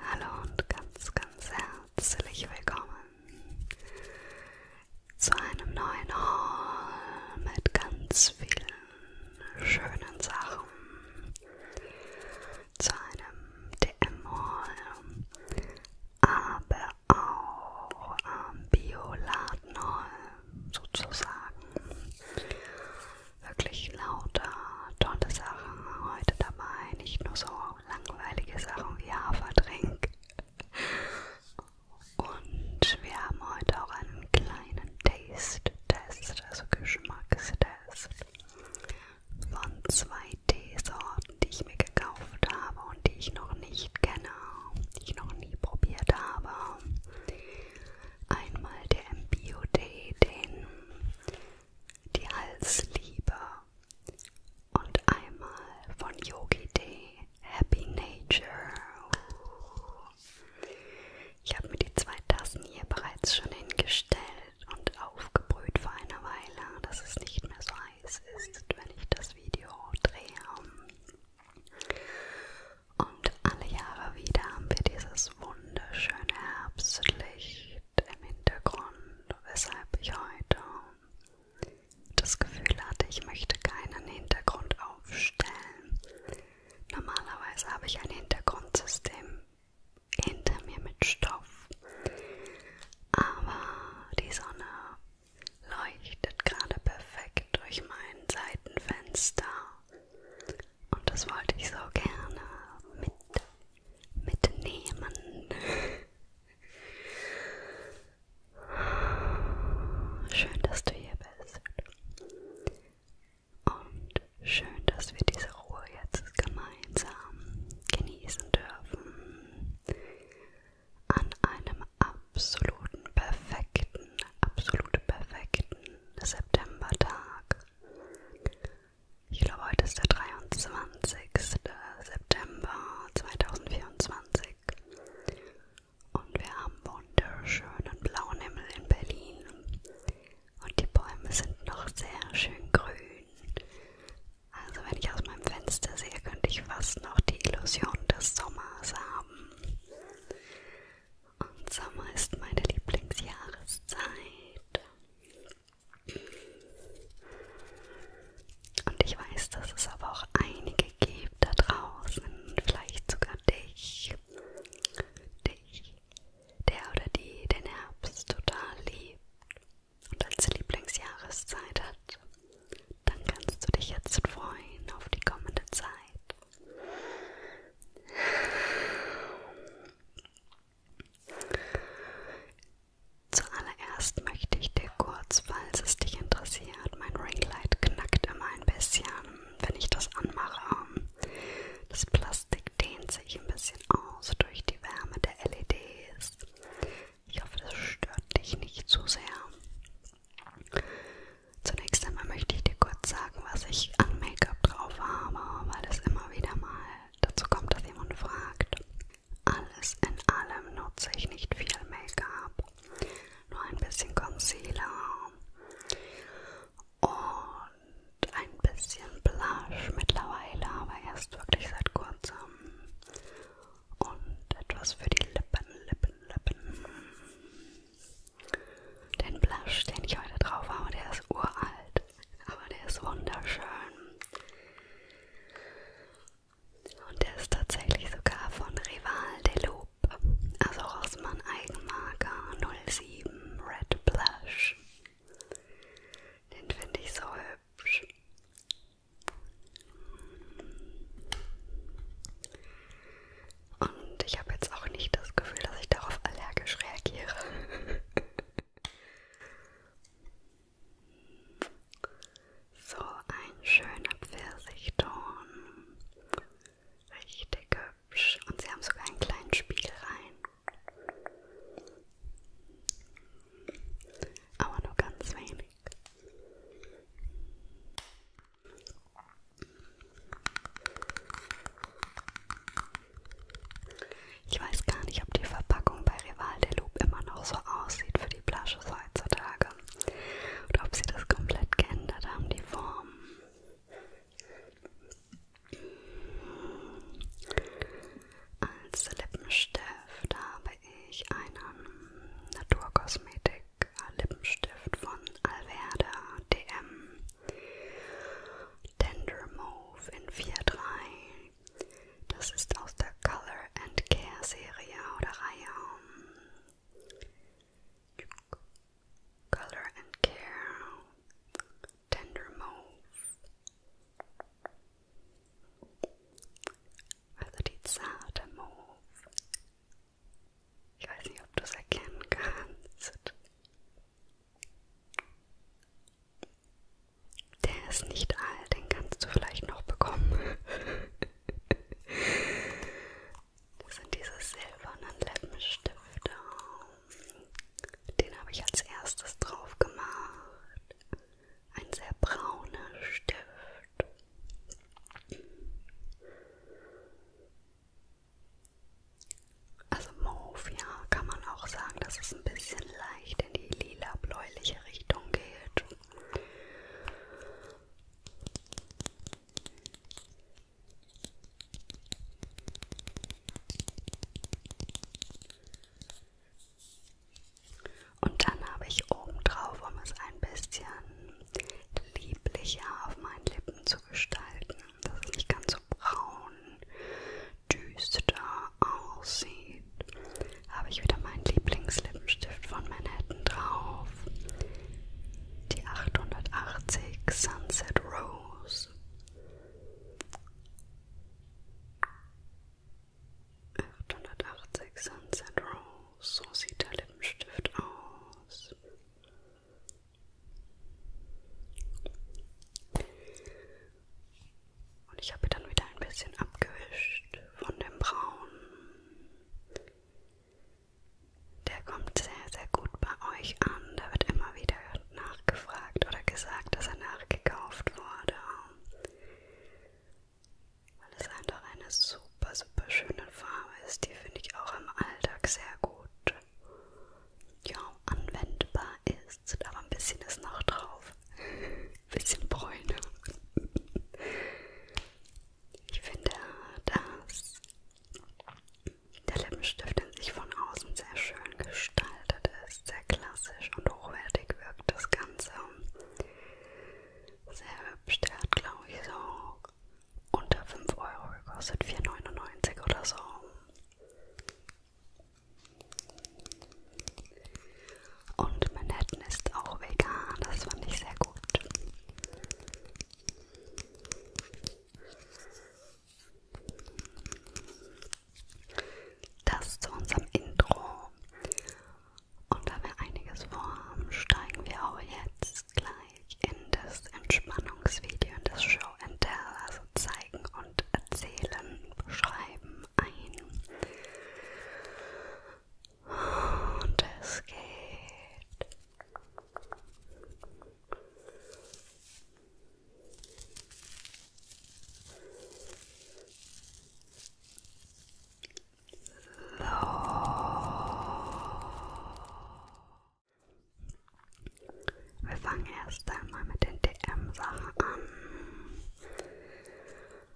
Hallo und ganz, ganz herzlich willkommen zu einem neuen Haul mit ganz vielen schönen Sachen. Zu einem DM-Haul, aber auch am Bioladen-Haul sozusagen wirklich lauter tolle Sachen heute dabei. Nicht nur so langweilige Sachen wie Haferdrink. Und wir haben heute auch einen kleinen Taste-Test, also Geschmackstest von zwei Teesorten, die ich mir gekauft habe und die ich noch nicht kenne, die ich noch nie probiert habe. Einmal der Bio-Tee, den die Halsliebe und einmal von Yogi Day Happy Nature. Ich habe mir die zwei Tassen hier bereits schon hingestellt und aufgebrüht vor einer Weile, dass es nicht mehr so heiß ist, wenn ich das Video drehe. Und alle Jahre wieder haben wir dieses wunderschöne wunderschöne Herbstlicht im Hintergrund, weshalb ich heute das Gefühl hatte, ich möchte keinen Hintergrund aufstellen. Normalerweise habe ich ein Hintergrundsystem hinter mir mit Stoff, aber die Sonne leuchtet gerade perfekt durch mein Seitenfenster und das wollte ich so gerne mit, mitnehmen. Schön, dass du hier bist. Und schön, dass wir diese Ruhe jetzt gemeinsam genießen dürfen. An einem absoluten perfekten, absolut perfekten Septembertag. Ich glaube, heute ist der 23. September 2024. Und wir haben wunderschönen blauen Himmel in Berlin. Und die Bäume sind noch sehr schön grün. Also wenn ich aus meinem Fenster sehe, könnte ich fast noch die Illusion des Sommers haben. Und Sommer ist meine Lieblingsjahreszeit. Und ich weiß, dass es aber auch einige gibt da draußen, vielleicht sogar dich, dich, der oder die den Herbst total liebt und als Lieblingsjahreszeit hat. Dann kannst du dich jetzt freuen auf die kommende Zeit. Zuallererst möchte ich dir kurz, falls es dich interessiert, mein Ringlight knackt immer ein bisschen, wenn ich das anmache. Das Plastik dehnt sich ein bisschen aus durch die Wärme der LEDs. Ich hoffe, das stört dich nicht zu sehr. Zunächst einmal möchte ich dir kurz sagen, was ich an Make-up drauf habe, weil es immer wieder mal Dazu kommt, dass jemand fragt. Alles in allem nutze ich nicht viel Make-up, nur ein bisschen Concealer und ein bisschen Blush mittlerweile, aber erst wirklich seit kurzem. Und etwas für die Lippen, Lippen, Lippen. Den Blush, den ich heute drauf habe, der ist uralt. Aber der ist wunderschön. Und der ist tatsächlich sogar von Rival de Loup, also Rossmann Eigenmarke 07 Red Blush. Den finde ich so hübsch. Und ich habe jetzt auch nicht das Gefühl, dass ich darauf allergisch reagiere. So ein schöner Pfirsichton. Richtig hübsch. Und sie haben sogar einen kleinen Spiegel rein. Aber nur ganz wenig. Ich weiß gar nicht, ob die Verpackung bei Rival de Loup immer noch so aussieht für die Blushes heutzutage. Oder ob sie das komplett geändert haben, die Form. Als Lippenstift habe ich einen Naturkosmetik Lippenstift von Alverde DM Tender Mauve in 4.3. Das ist aus der Color and Care Serie oder Reihe. Ähm, Color and Care. Tender Mauve. Also die zarte Mauve. Ich weiß nicht, ob du es erkennen kannst. Der ist nicht alt, den kannst du vielleicht noch bekommen. Das sind diese silbernen Lippenstifte. Den habe ich als erstes drauf gemacht. Ein sehr brauner Stift. Also Mauve, ja, kann man auch sagen, dass es ein bisschen leicht in die lila-bläuliche Richtung geht. Und dann habe ich oben drauf, um es ein bisschen lieblicher auf meinen Lippen zu gestalten, dass es nicht ganz so Braun düster aussieht, habe ich wieder meinen Lieblingslippenstift von Manhattan drauf. Die 880 Sunset Rose. Achthundertachtzig Sunset Rose, so sieht der Lippenstift aus. Und ich habe dann wieder ein bisschen abgewischt von dem Braun. Der kommt sehr, sehr gut bei euch an. Da wird immer wieder nachgefragt oder gesagt, dass er nachgekauft wurde. Weil es einfach eine super, super schöne Farbe ist. Die finde ich auch im Alltag sehr gut. Ja, anwendbar es tut aber ein bisschen ist noch drauf. Ein bisschen Bräune. Ich finde, dass der Lippenstift in sich von außen sehr schön gestaltet ist, sehr klassisch und hochwertig wirkt das Ganze. Sehr hübsch, der hat glaube ich so unter 5 Euro gekostet, 4,99 oder so. Und Manhattan ist auch vegan, das fand ich sehr gut. Das zu unserem Intro. Und da wir einiges vorhaben, steigen wir auch jetzt gleich in das Entspannungsvideo, in das Show and Tell. Also zeig Zeigen und Erzählen, Beschreiben ein. Und es geht. So. Wir fangen erst einmal mit den DM-Sachen an.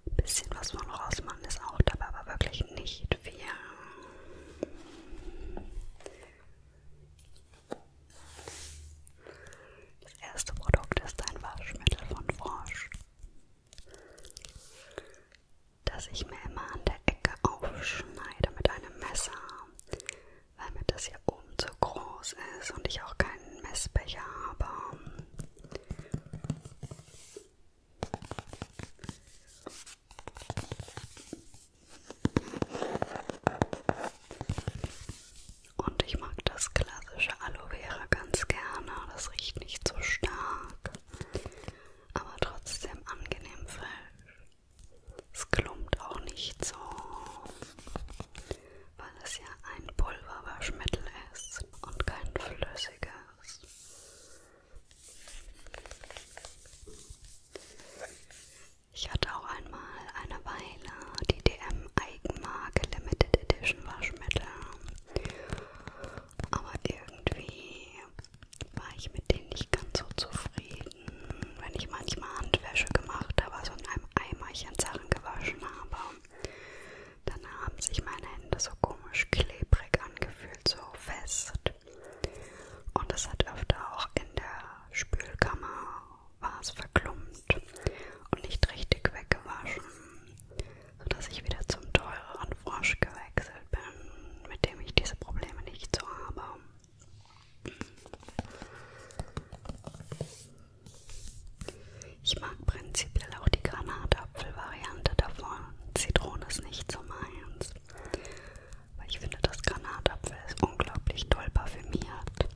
Ein bisschen was von rausmachen ist auch dabei, aber wirklich nicht viel. Das erste Produkt ist ein Waschmittel von Frosch, das ich mir immer an der Ecke aufschneide mit einem Messer, weil mir das hier oben so groß ist und ich auch keinen Messbecher habe. Und ich mag das klassische Aloe Vera ganz gerne. Das riecht nicht so stark, aber trotzdem angenehm frisch. Es klumpt auch nicht so weil es ja ein Pulverwaschmittel ist und kein flüssiges. Ich hatte auch einmal eine Weile die DM Eigenmarke Limited Edition Waschmittel, aber irgendwie war ich mit denen nicht ganz so zufrieden, wenn ich manchmal Handwäsche gemacht habe, so also in einem Eimerchen Sachen gewaschen habe. Dann haben sich meine Hände so komisch klebrig angefühlt, so fest. Und das hat öfter auch in der Spülkammer war es verklumpt und nicht richtig weggewaschen, sodass ich wieder zum teureren Frosch gewechselt bin, mit dem ich diese Probleme nicht so habe. Ich mag prinzipiell auch die Granatapfel-Variante davon. Zitrone ist nicht so meins. Weil ich finde, das Granatapfel ist unglaublich toll parfümiert.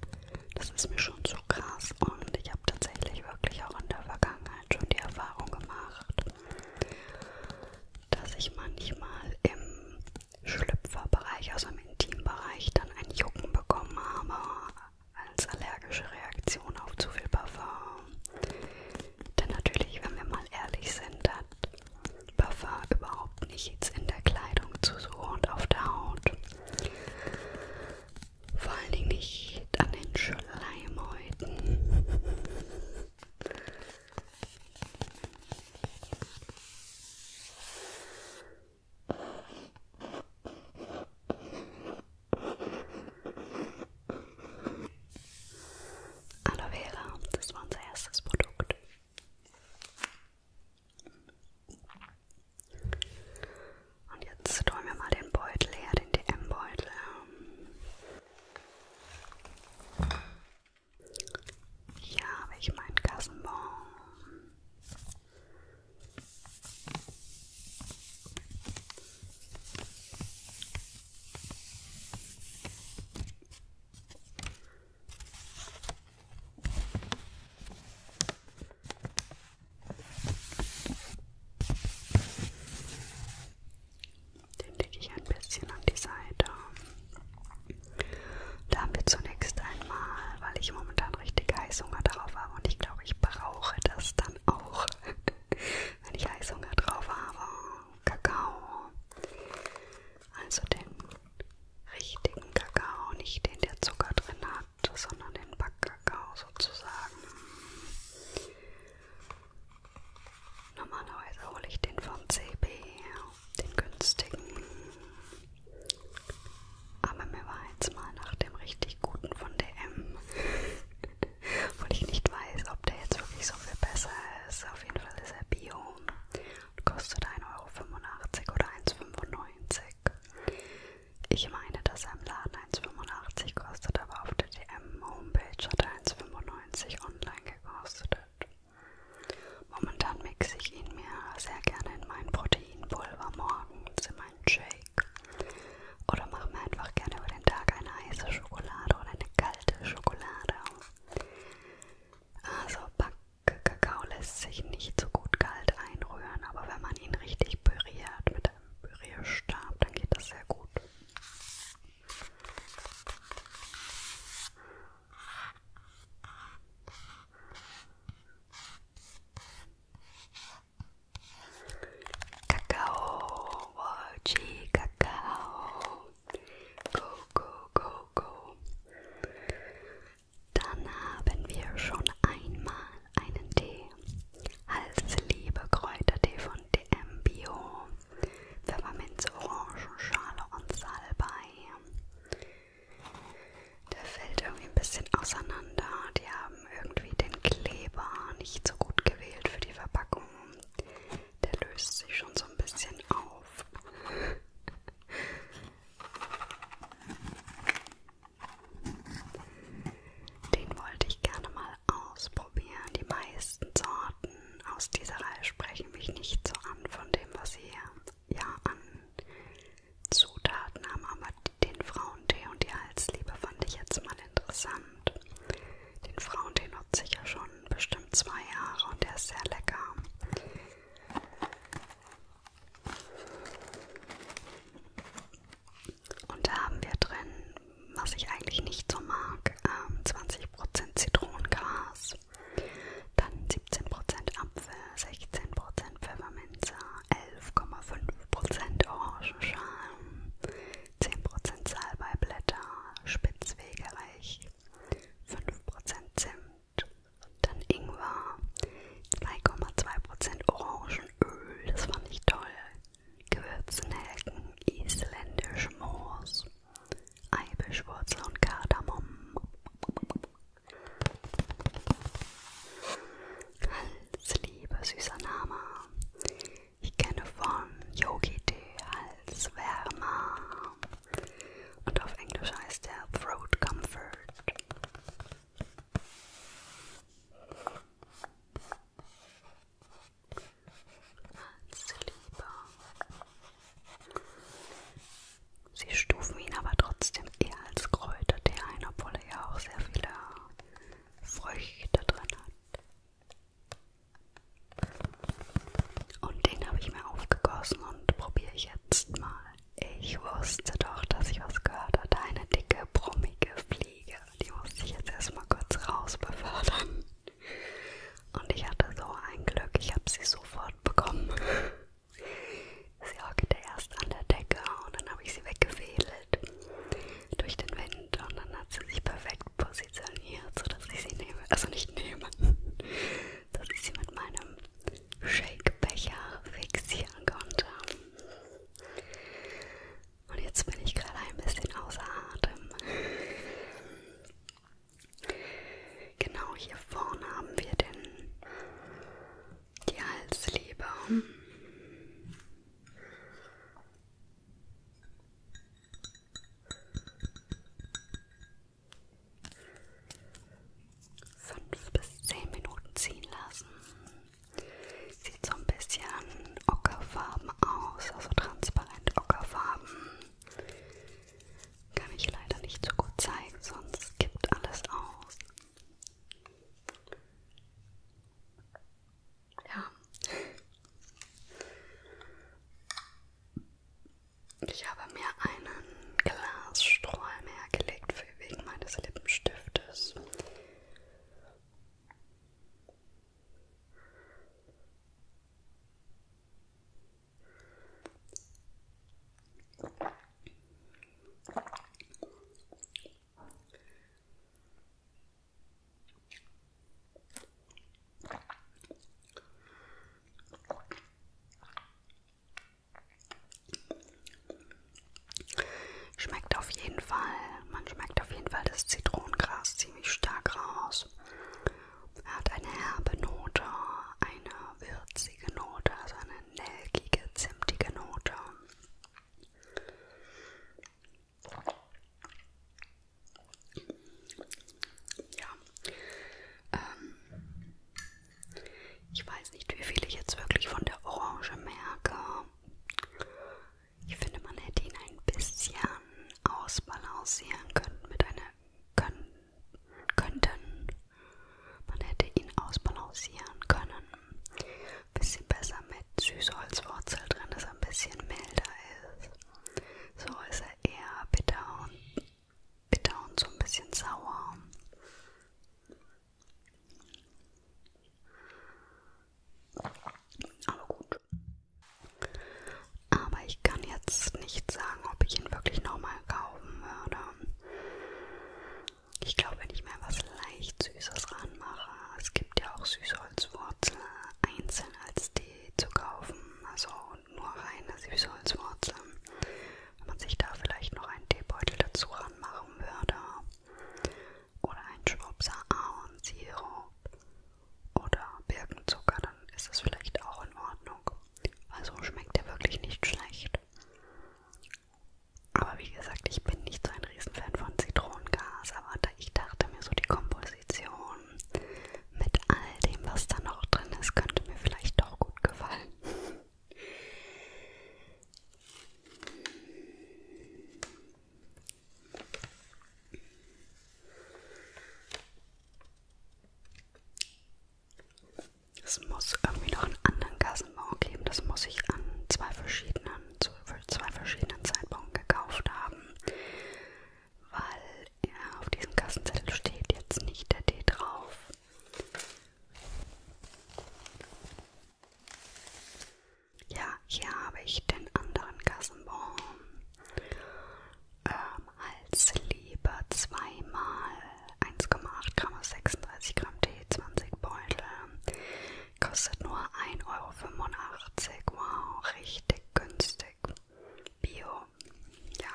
Das ist mir schon zu krass und ich habe tatsächlich wirklich auch in der Vergangenheit schon die Erfahrung gemacht, dass ich manchmal im Schlüpferbereich, also im Intimbereich, dann ein Jucken bekommen habe als allergische Reaktion auf zu viel Parfum. Denn natürlich, wenn wir mal ehrlich sind, hat Parfum überhaupt nichts in der Kleidung zu suchen und auf der Haut. Vor allen Dingen nicht an den Schleimhäuten. Aloe Vera, das war unser erstes Produkt. Und jetzt tun wir mal den Beutel her, den DM-Beutel. Hier habe ich meinen Kassenbon. Den lege ich ein bisschen an die Seite. Da haben wir zunächst einmal weil ich momentan richtig Heißhunger drauf habe und ich glaube, ich brauche das dann auch, wenn ich Heißhunger drauf habe. Kakao. Also den richtigen Kakao, nicht den, der Zucker drin hat, sondern den Backkakao sozusagen. Normalerweise hole ich den vom CB, den günstigen. Aber mir war jetzt mal nach dem richtig guten von DM, obwohl ich nicht weiß, ob der jetzt wirklich so viel besser ist. Auf jeden Fall ist er Bio und kostet 1,85 Euro oder 1,95 Euro. Ich meine, dass er im Laden 1,85 kostet, aber auf der DM-Homepage hat er 1,95 online gekostet. Momentan mixe ich ihn mir sehr gerne in mein Proteinpulver morgens in mein einen Shake. Oder mach mir einfach gerne über den Tag eine heiße Schokolade oder eine kalte Schokolade. Also Backkakao lässt sich nicht so gut kalt einrühren, aber wenn man ihn richtig püriert mit einem Pürierstab, dann geht das sehr gut. Kakao, Waji, Kakao. Go, go, go, go. Dann haben wir schon einmal einen Tee. Halsliebe Kräutertee von DM Bio. Pfefferminze, Orangenschale und Salbei. Der fällt irgendwie ein bisschen auseinander. Die haben haben irgendwie den Kleber nicht so gut gewählt für die Verpackung. Der löst sich schon so ein bisschen auf. Den wollte ich gerne mal ausprobieren. Die meisten Sorten aus dieser Reihe sprechen mich nicht so an von dem, was sie ja an Zutaten haben, aber aber den Frauentee und die Halsliebe fand ich jetzt mal interessant. Den Frauentee nutze ich ja schon bestimmt zwei Jahre und der ist sehr lecker. Und da haben wir drin, was ich eigentlich nicht so mag, 20% ähm, Zitronengras, dann 17% Apfel, 16% Pfefferminze, 11,5% Orangenschalen, 10% Salbeiblätter, Spitzwegerich, 5% Zimt, dann Ingwer, 2,2% Orangenöl, das fand ich toll, Gewürznelken, isländisch Moos, Eibischwurzel und Kardamom. Hals, liebe süßer Name. Ich kenne von Yogi Tee Halswärmer. Und auf Englisch heißt der Throat Comfort. Halsliebe. Sie stufen ihn aber trotzdem eher als Kräutertee ein, obwohl er ja auch sehr viele Früchte drin hat. Und den habe ich mir aufgegossen und probiere ich jetzt mal. Ich wusste doch, dass ich was gehört hatte. Eine dicke, brummige Fliege. Die musste ich jetzt erstmal kurz raus befördern. Und ich hatte so ein Glück, ich habe sie sofort bekommen. Sie hockte erst an der Decke und dann habe ich sie weggefädelt durch den Wind und dann hat sie sich perfekt positioniert, sodass ich sie nehme, also nicht nehme, dass ich sie mit meinem Shakebecher fixieren konnte. Und jetzt bin ich gerade ein bisschen außer Atem. Genau hier vorne haben wir den, die Halsliebe. Fünf bis zehn Minuten ziehen lassen. Sieht so ein bisschen ockerfarben aus, also transparent ockerfarben. Kann ich leider nicht so gut zeigen, sonst gibt alles aus. Ja. Ich habe mir einen Glasstrahl mehr gelegt für wegen meines Lippenstiftes. Schmeckt auf jeden Fall, man schmeckt auf jeden Fall das Zitronengras ziemlich stark raus. Er hat eine herbe Note, eine würzige Note, also eine nelkige, zimtige Note. Ja. Ähm, ich weiß nicht, wie viel ich jetzt wirklich von der Orange merke. Ich finde, man hätte ihn ein bisschen ausbalancieren können mit einer können, könnten. Man hätte ihn ausbalancieren können bisschen besser mit Süßholzwurzel drin, dass er ein bisschen milder ist. So ist er eher bitter und, bitter und so ein bisschen sauer. Aber gut. Aber ich kann jetzt nicht sagen, ob ich ihn wirklich nochmal kaufen würde. Ich glaube, wenn ich mir was leicht Süßes ranmache, es gibt ja auch süße Süßholzwurzel einzeln als Tee zu kaufen, also nur reine Süßholzwurzel. Wenn man sich da vielleicht noch einen Teebeutel dazu ranmachen würde oder einen Schwupser Ahornsirup oder Birkenzucker, dann ist das vielleicht auch in Ordnung. Also schmeckt er wirklich nicht schlecht. Aber wie gesagt, ich bin nicht so ein Riesenfan von Zitronengas, aber da ich dachte mir so, die Komposition mit all dem, was da noch drin ist, könnte mir vielleicht doch gut gefallen. Es muss irgendwie noch einen anderen Gassenbau geben, das muss ich an zwei verschiedenen ähm, zu zwei verschiedenen Zeitpunkten gekauft haben, weil ja, auf diesem Kassenzettel steht jetzt nicht der D drauf. Ja, hier habe ich den anderen Kassenbon ähm, als Lieber zweimal 1,8 Gramm, 36 Gramm Tee, 20 Beutel. Kostet nur 1,85 Euro. Wow, richtig günstig. Bio. Ja.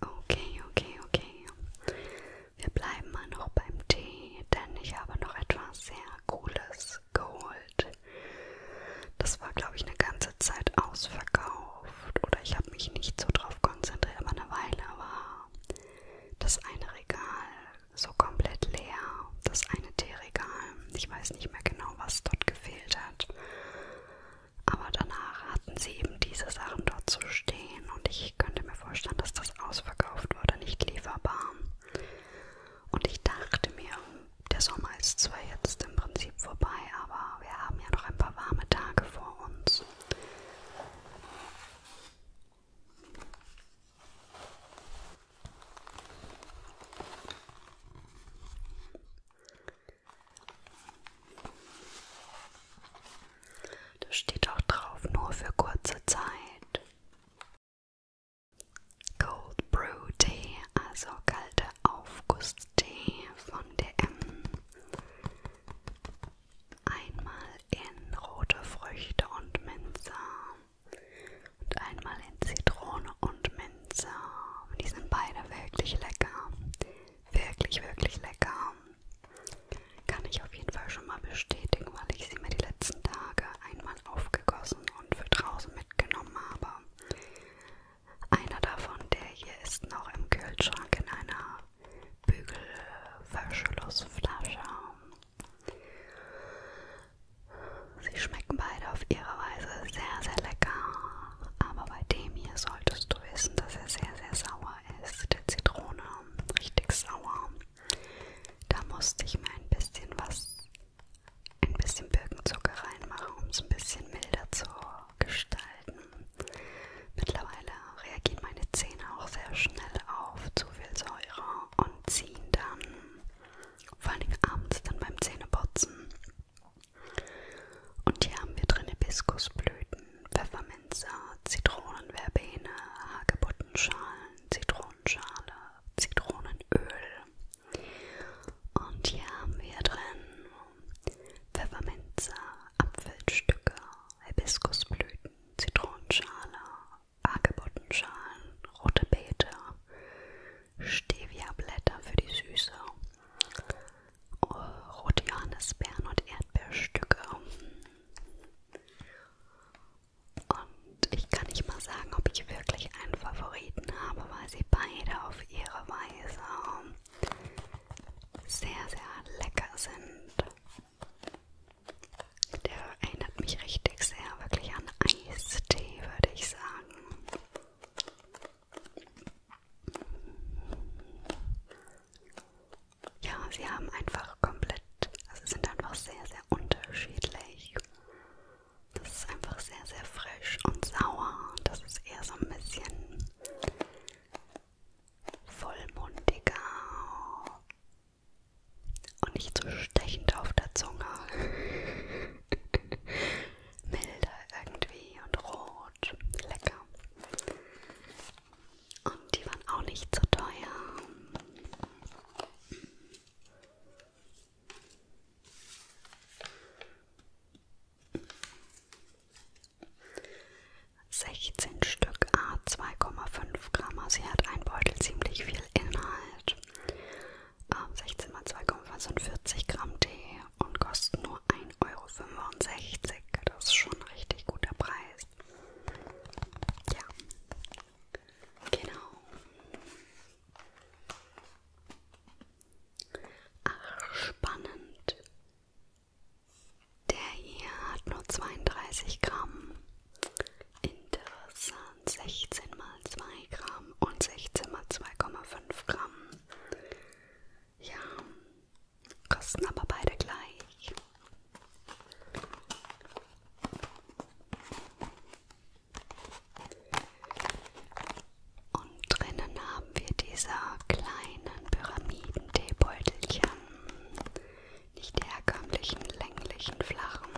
Okay, okay, okay. Wir bleiben mal noch beim Tee, denn ich habe noch etwas sehr Cooles geholt. Das war, glaube ich, eine ganze Zeit ausverkauft. Oder ich habe mich nicht so drauf konzentriert, aber eine Weile war das eine Regal so komplett leer, das eine Teeregal. Ich weiß nicht mehr genau, was dort gefehlt hat. Aber danach hatten sie eben diese Sachen dort zu stehen und ich könnte mir vorstellen, dass das ausverkauft wurde, nicht lieferbar. Und ich dachte mir, der Sommer ist zwar jetzt im Prinzip vorbei, aber wir haben ja noch ein paar warme Tage vor uns. Da steht auch drauf, nur für kurze Zeit. Cold Brew Tee, also kalter Aufgusstee von DM. Einmal in rote Früchte und Minze und einmal in Zitrone und Minze. Die sind beide wirklich lecker. Wirklich, wirklich lecker. Kann ich auf jeden Fall schon mal bestätigen, weil ich sie mir die letzten Tage einmal aufgegossen und für draußen mitgenommen habe. Einer davon, der hier ist noch im Kühlschrank in einer Bügelverschlussflasche. Sie schmecken beide auf ihre Weise sehr, sehr lecker. Aber bei dem hier solltest du wissen, dass er sehr, sehr sauer ist. Der Zitrone, richtig sauer. Da musste ich mir ein bisschen was, ein bisschen Birkenzucker reinmachen, um es ein bisschen milder zu gestalten. Mittlerweile reagieren meine Zähne auch sehr schnell auf zu viel Säure und ziehen dann, vor allem abends dann beim Zähneputzen. Und hier haben wir drin Hibiskusblüten, Pfefferminze, Zitronen, Verbene, Hagebuttenschalen, Zitronenschale, Zitronenöl. Und hier haben wir drin Pfefferminze, Apfelstücke, Hibiskusblüten, Zitronenschale, Hagebuttenschalen, rote Beete, Stevia-Blätter für die Süße, rote Johannisbeeren und Erdbeerstücke. Und ich kann nicht mal sagen, ob ich wirklich einen Favoriten habe, weil sie beide auf ihre Weise sehr, sehr lecker sind. Der erinnert mich richtig sehr wirklich an Eistee, würde ich sagen. Ja, sie haben einfach komplett, also sind einfach sehr, sehr unterschiedlich. Das ist einfach sehr, sehr frisch und sauer. Das ist eher so ein bisschen vollmundiger, und nicht so stechend auf der Zunge. Milder irgendwie und rot. Lecker. Und die waren auch nicht so teuer. Sechzehn Stück A zwei Komma fünf 5 Gramm, also hier hat ein Beutel ziemlich viel Inhalt. Ähm, 16 mal 2,5 sind 40 Gramm Tee und kosten nur 1,65 Euro. Das ist schon ein richtig guter Preis. Ja, genau. Ach, spannend. Der hier hat nur 32 Gramm Interessant, 16 mal 2 Gramm und 16 mal 2,5 Gramm. Ja, kosten aber beide gleich. Und drinnen haben wir diese kleinen Pyramidentee-Beutelchen nicht herkömmlichen, länglichen, flachen.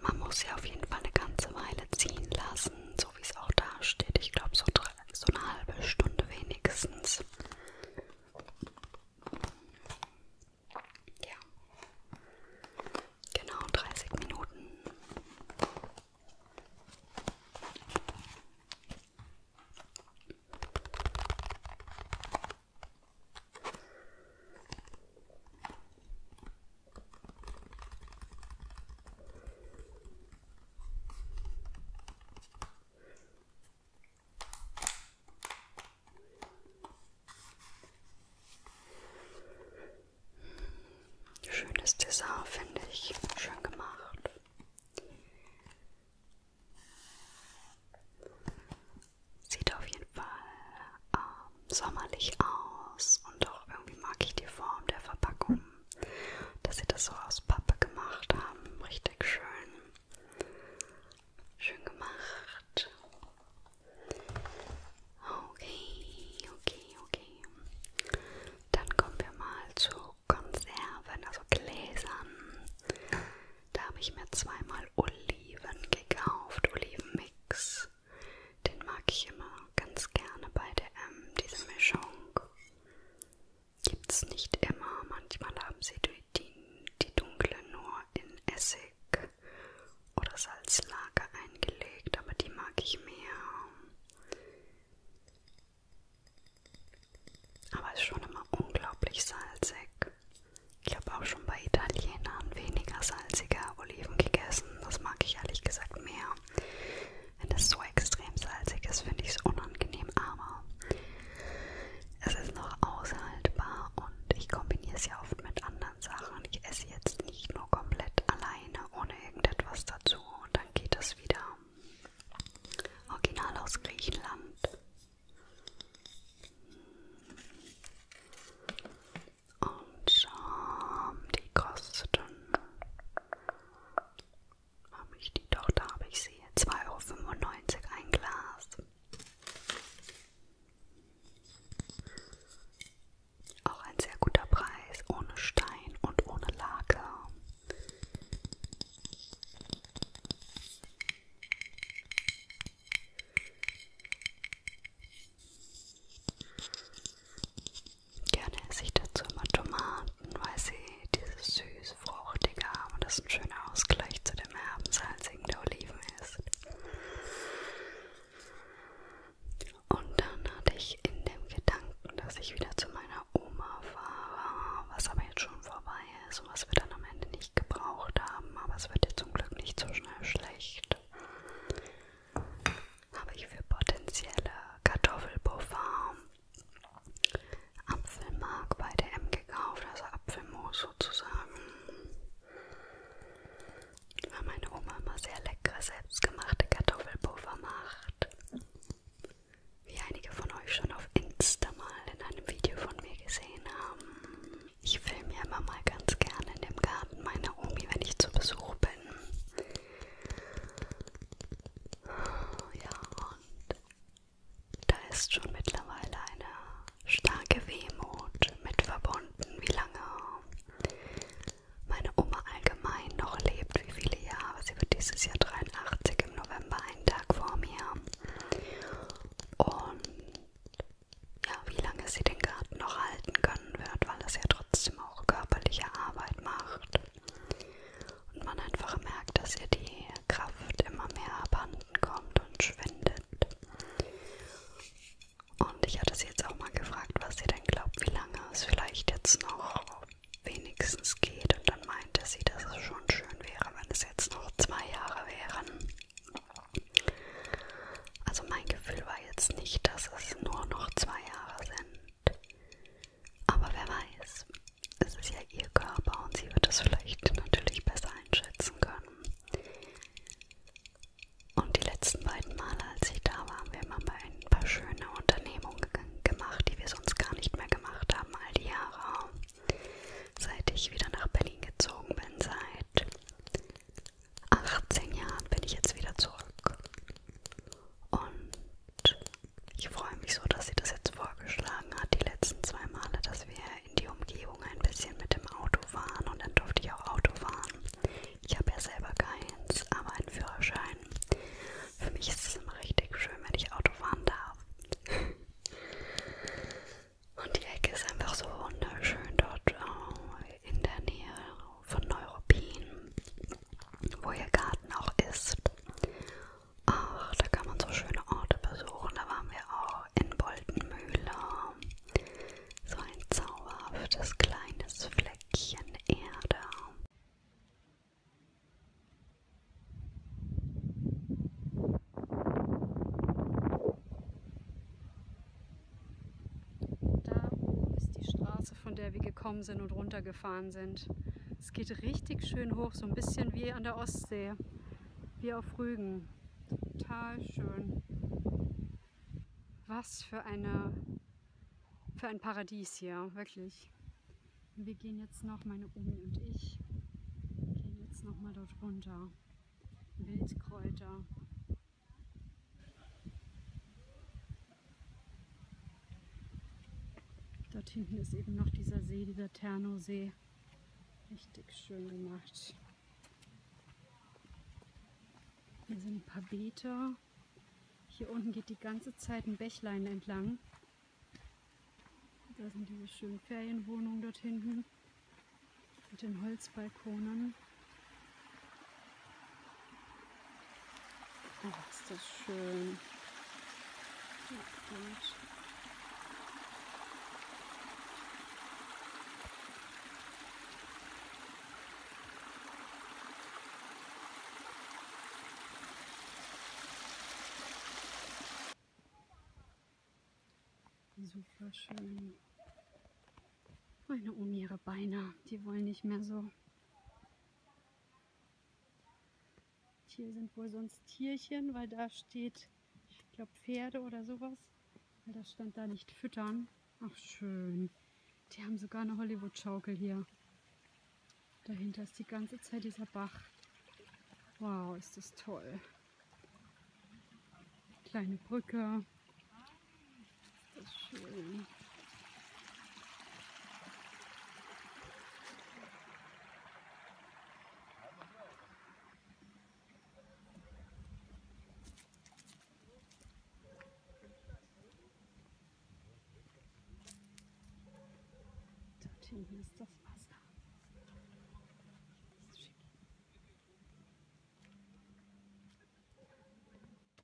Man muss sie auf jeden Fall eine ganze Weile ziehen lassen, so wie es auch da steht. Ich glaube, so, so eine halbe Stunde wenigstens. Ja, genau 30 Minuten. Schönes Dessert, finde ich. Schön gemacht. Sieht auf jeden Fall ähm, sommerlich aus und auch irgendwie mag ich die Form der Verpackung, dass sie das so aus Pappe gemacht haben. Richtig schön. Schön gemacht. Okay, okay, okay. Dann kommen wir mal zu Konserven, also Gläsern. Da habe ich mir zweimal Oliven gekauft, Olivenmix. Den mag ich immer ganz gerne bei DM, diese Mischung. Gibt es nicht immer, manchmal haben sie die, die dunkle nur in Essig oder Salzlager eingelegt, aber die mag ich mehr. Aber ist schon immer unglaublich salzig. Ich habe auch schon bei Italienern weniger salzige Oliven gegessen. Das mag ich ehrlich gesagt mehr. Wenn es so extrem salzig ist, finde ich es unangenehm, aber es ist noch aushaltbar und ich kombiniere es ja oft mit anderen Sachen. Ich esse jetzt nicht nur komplett alleine ohne irgendetwas dazu und dann geht es wieder. Original aus Griechenland. Und schon, die kosten, habe ich die doch, da habe ich sie, 2,95 Euro ein Glas. Auch ein sehr guter Preis, ohne Stein und ohne Lager. Gerne esse ich dazu immer Tomaten, weil sie dieses süß-fruchtige haben und das ein schöner Ausgleich zu dem herben, salzigen der Oliven ist. Und dann hatte ich in dem Gedanken, dass ich wieder zu meiner Oma war, was aber jetzt schon vorbei ist und was wir dann am Ende nicht gebraucht haben, aber es wird dir zum Glück nicht so schnell schlecht. Habe ich für potenzielle Kartoffelpuffer Apfelmark bei der M gekauft, also Apfelmus sozusagen. Weil meine Oma immer sehr leckere, selbstgemachte Kartoffelpuffer macht wie einige von euch schon auf Insta mal in einem Video von mir gesehen haben. Ich filme ja immer mal ganz gerne in dem Garten meiner Omi, wenn ich zu Besuch bin. Ja, und da ist schon mittlerweile eine starke Wehmut mit verbunden, wie lange meine Oma allgemein noch lebt nicht wie viele Jahre, sie wird dieses Jahr 83 im November, einen Tag vor mir. Und ja, wie lange sie den Garten noch halten können wird, weil es ja trotzdem auch körperliche Arbeit macht. Und man einfach merkt, dass ihr die Kraft immer mehr abhanden kommt und schwindet. Und ich hatte sie jetzt auch mal gefragt, was sie denn glaubt, wie lange es vielleicht jetzt noch wenigstens geht. Und dann meinte sie, dass es schon schön wäre, wenn es jetzt noch zwei Jahre wären. Also mein Gefühl war jetzt nicht, dass es nur noch zwei Jahre sind. Aber wer weiß, es ist ja ihr Körper und sie wird es vielleicht natürlich besser einschätzen können. Und die letzten beiden Male, als ich da war, haben wir mal ein paar schöne Unternehmungen gemacht, die wir so sonst gar nicht mehr gemacht haben all die Jahre. Seit ich wieder nach Berlin gezogen bin, seit 18 Jahren bin ich jetzt wieder zurück. Und ich freue mich so, dass sie das jetzt vorgeschlagen hat, die letzten zwei Male, dass wir in die Umgebung ein bisschen mit dem Auto fahren und dann durfte ich auch Auto fahren. Ich habe ja selber keins, aber einen Führerschein. Für mich ist es immer richtig schön, wenn ich Auto fahren darf. Und die Ecke ist einfach so wunderschön dort äh, in der Nähe von Neuruppin, wo ihr Garten auch ist. Ach, da kann man so schöne Orte besuchen. Da waren wir auch in Boltenmühle. So ein zauberhaftes kleines Fleckchen Erde. Da ist die Straße, von der wir gekommen sind und runtergefahren sind. Es geht richtig schön hoch, so ein bisschen wie an der Ostsee, wie auf Rügen. Total schön. Was für eine für ein Paradies hier, wirklich. Wir gehen jetzt noch, meine Omi und ich, gehen jetzt noch mal dort runter. Wildkräuter. Dort hinten ist eben noch dieser See, dieser Ternosee. Richtig schön gemacht. Hier sind ein paar Beete. Hier unten geht die ganze Zeit ein Bächlein entlang. Da sind diese schönen Ferienwohnungen dort hinten mit den Holzbalkonen. Oh, ist das schön. Oh, gut. Super schön. Meine Omi, ihre Beine, die wollen nicht mehr so. Hier sind wohl sonst Tierchen, weil da steht, ich glaube Pferde oder sowas. Weil das stand da nicht füttern. Ach schön. Die haben sogar eine Hollywood-Schaukel hier. Dahinter ist die ganze Zeit dieser Bach. Wow, ist das toll. Kleine Brücke. Ist das schön. Dort hinten ist das Wasser. Das ist schick.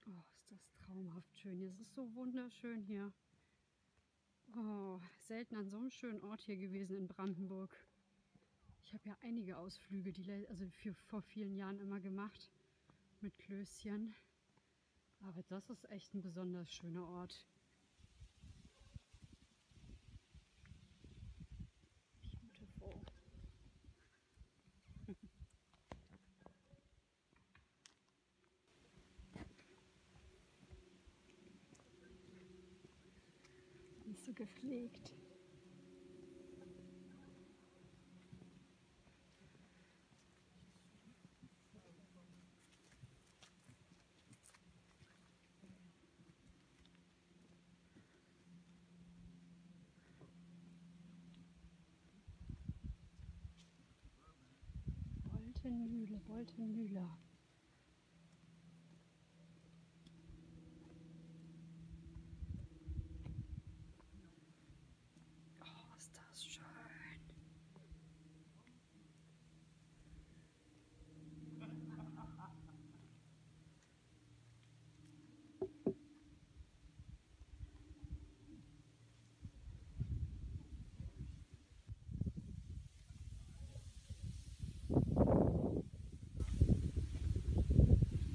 Oh, ist das traumhaft schön. Hier ist so wunderschön hier. Oh, selten an so einem schönen Ort hier gewesen in Brandenburg. Ich habe ja einige Ausflüge, die also für, vor vielen Jahren immer gemacht mit Klößchen. Aber das ist echt ein besonders schöner Ort. Beautiful. Nicht so gepflegt. Boltenmühle, Boltenmühle. Oh, ist das schön.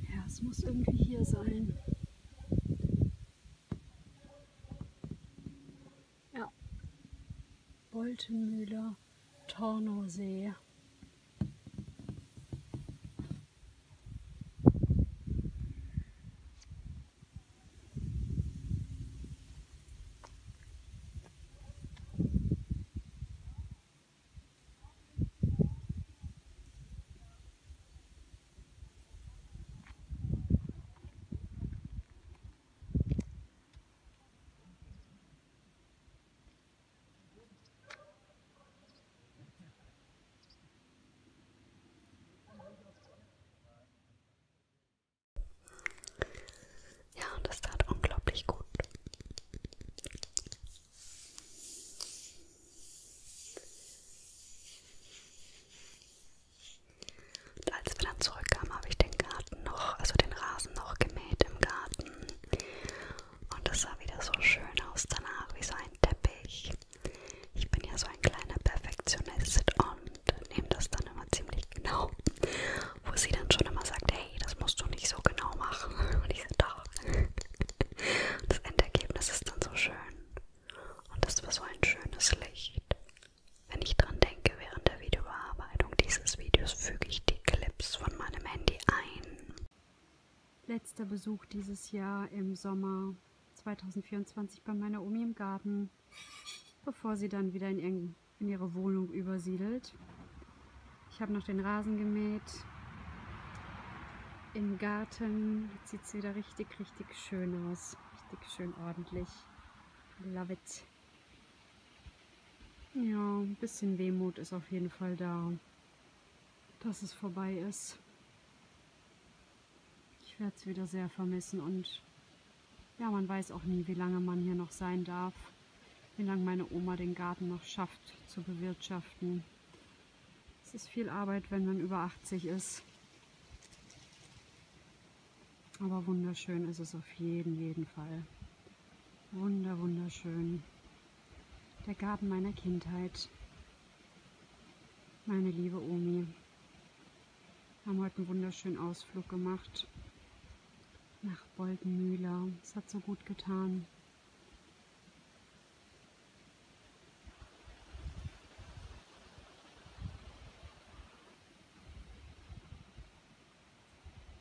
Ja, es muss irgendwie hier sein. Ja. Boltemühler, Tornosee. Ja, und das tat unglaublich gut. Und als wir dann zurückkamen, habe ich den Garten noch, also den Rasen noch gemäht im Garten. Und das sah wieder so schön aus danach, wie so ein Teppich. Ich bin ja so ein kleiner Perfektionist und nehme das dann immer ziemlich genau. Wo sie dann schon immer sagt, hey, das musst du nicht so genau machen. Und ich sage, doch. Das Endergebnis ist dann so schön. Und das war so ein schönes Licht. Wenn ich dran denke, während der Videobearbeitung dieses Videos füge ich die Clips von meinem Handy ein. Letzter Besuch dieses Jahr im Sommer 2024 bei meiner Omi im Garten, bevor sie dann wieder in ihre Wohnung übersiedelt. Ich habe noch den Rasen gemäht. Im Garten sieht es wieder richtig, richtig schön aus. Richtig schön ordentlich. Love it. Ja, ein bisschen Wehmut ist auf jeden Fall da, dass es vorbei ist. Ich werde es wieder sehr vermissen und ja, man weiß auch nie, wie lange man hier noch sein darf, wie lange meine Oma den Garten noch schafft zu bewirtschaften. Es ist viel Arbeit, wenn man über 80 ist. Aber wunderschön ist es auf jeden, jeden Fall. Wunder, wunderschön. Der Garten meiner Kindheit. Meine liebe Omi. Haben heute einen wunderschönen Ausflug gemacht nach Boltenmühler. Es hat so gut getan.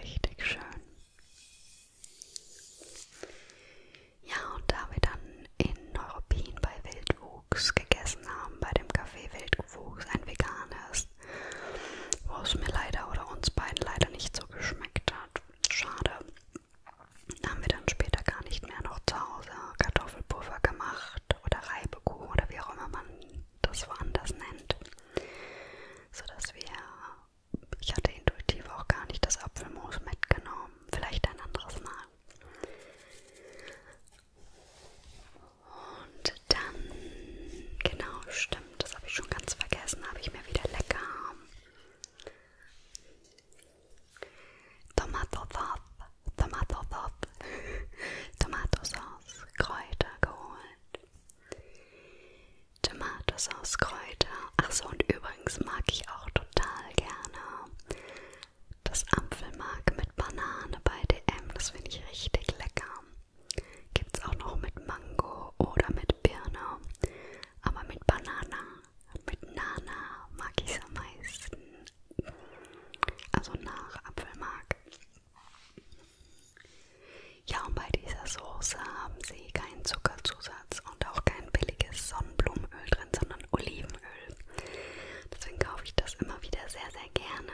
Richtig schön. Ja, und da wir dann in Neuruppin bei Wildwuchs gegessen haben, bei dem Café Wildwuchs, ein veganes, wo es mir leider oder uns beiden leider nicht so geschmeckt hat, schade, haben wir dann später gar nicht mehr noch zu Hause Kartoffelpuffer gemacht oder Reibekuchen oder wie auch immer man das woanders nennt, sodass wir ich hatte intuitiv auch gar nicht das Apfelmus mitgenommen. Vielleicht ein anderes Mal. Und dann, genau, stimmt, das habe ich schon ganz vergessen, habe ich mir wieder lecker Tomatosauce, Tomatosauce, Tomatosauce, Kräuter geholt. Tomatensauce-Kräuter. Achso, und übrigens mag ich auch total gerne das Apfelmark mit Banane bei DM. Das finde ich richtig lecker. Gibt es auch noch mit Mango oder mit Birne. Aber mit Banane, mit Nana mag ich es am meisten. Also nach Apfelmark. Ja, und bei dieser Soße haben sie keinen Zuckerzusatz und auch kein billiges Sonnenblumenöl drin, sondern Olivenöl. Deswegen kaufe ich das immer wieder sehr, sehr gerne.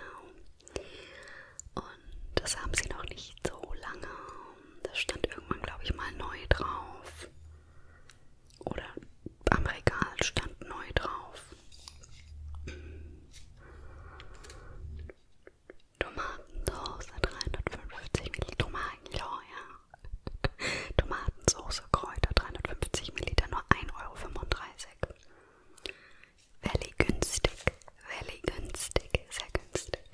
Und das haben sie noch nicht so lange. Das stand irgendwann, glaube ich, mal neu drauf. Oder am Regal stand neu drauf. Tomatensauce 350 ml, Tomaten, ja, ja. Tomatensauce, Kräuter 350 ml, nur 1,35 Euro. Valley günstig, Valley günstig, sehr günstig.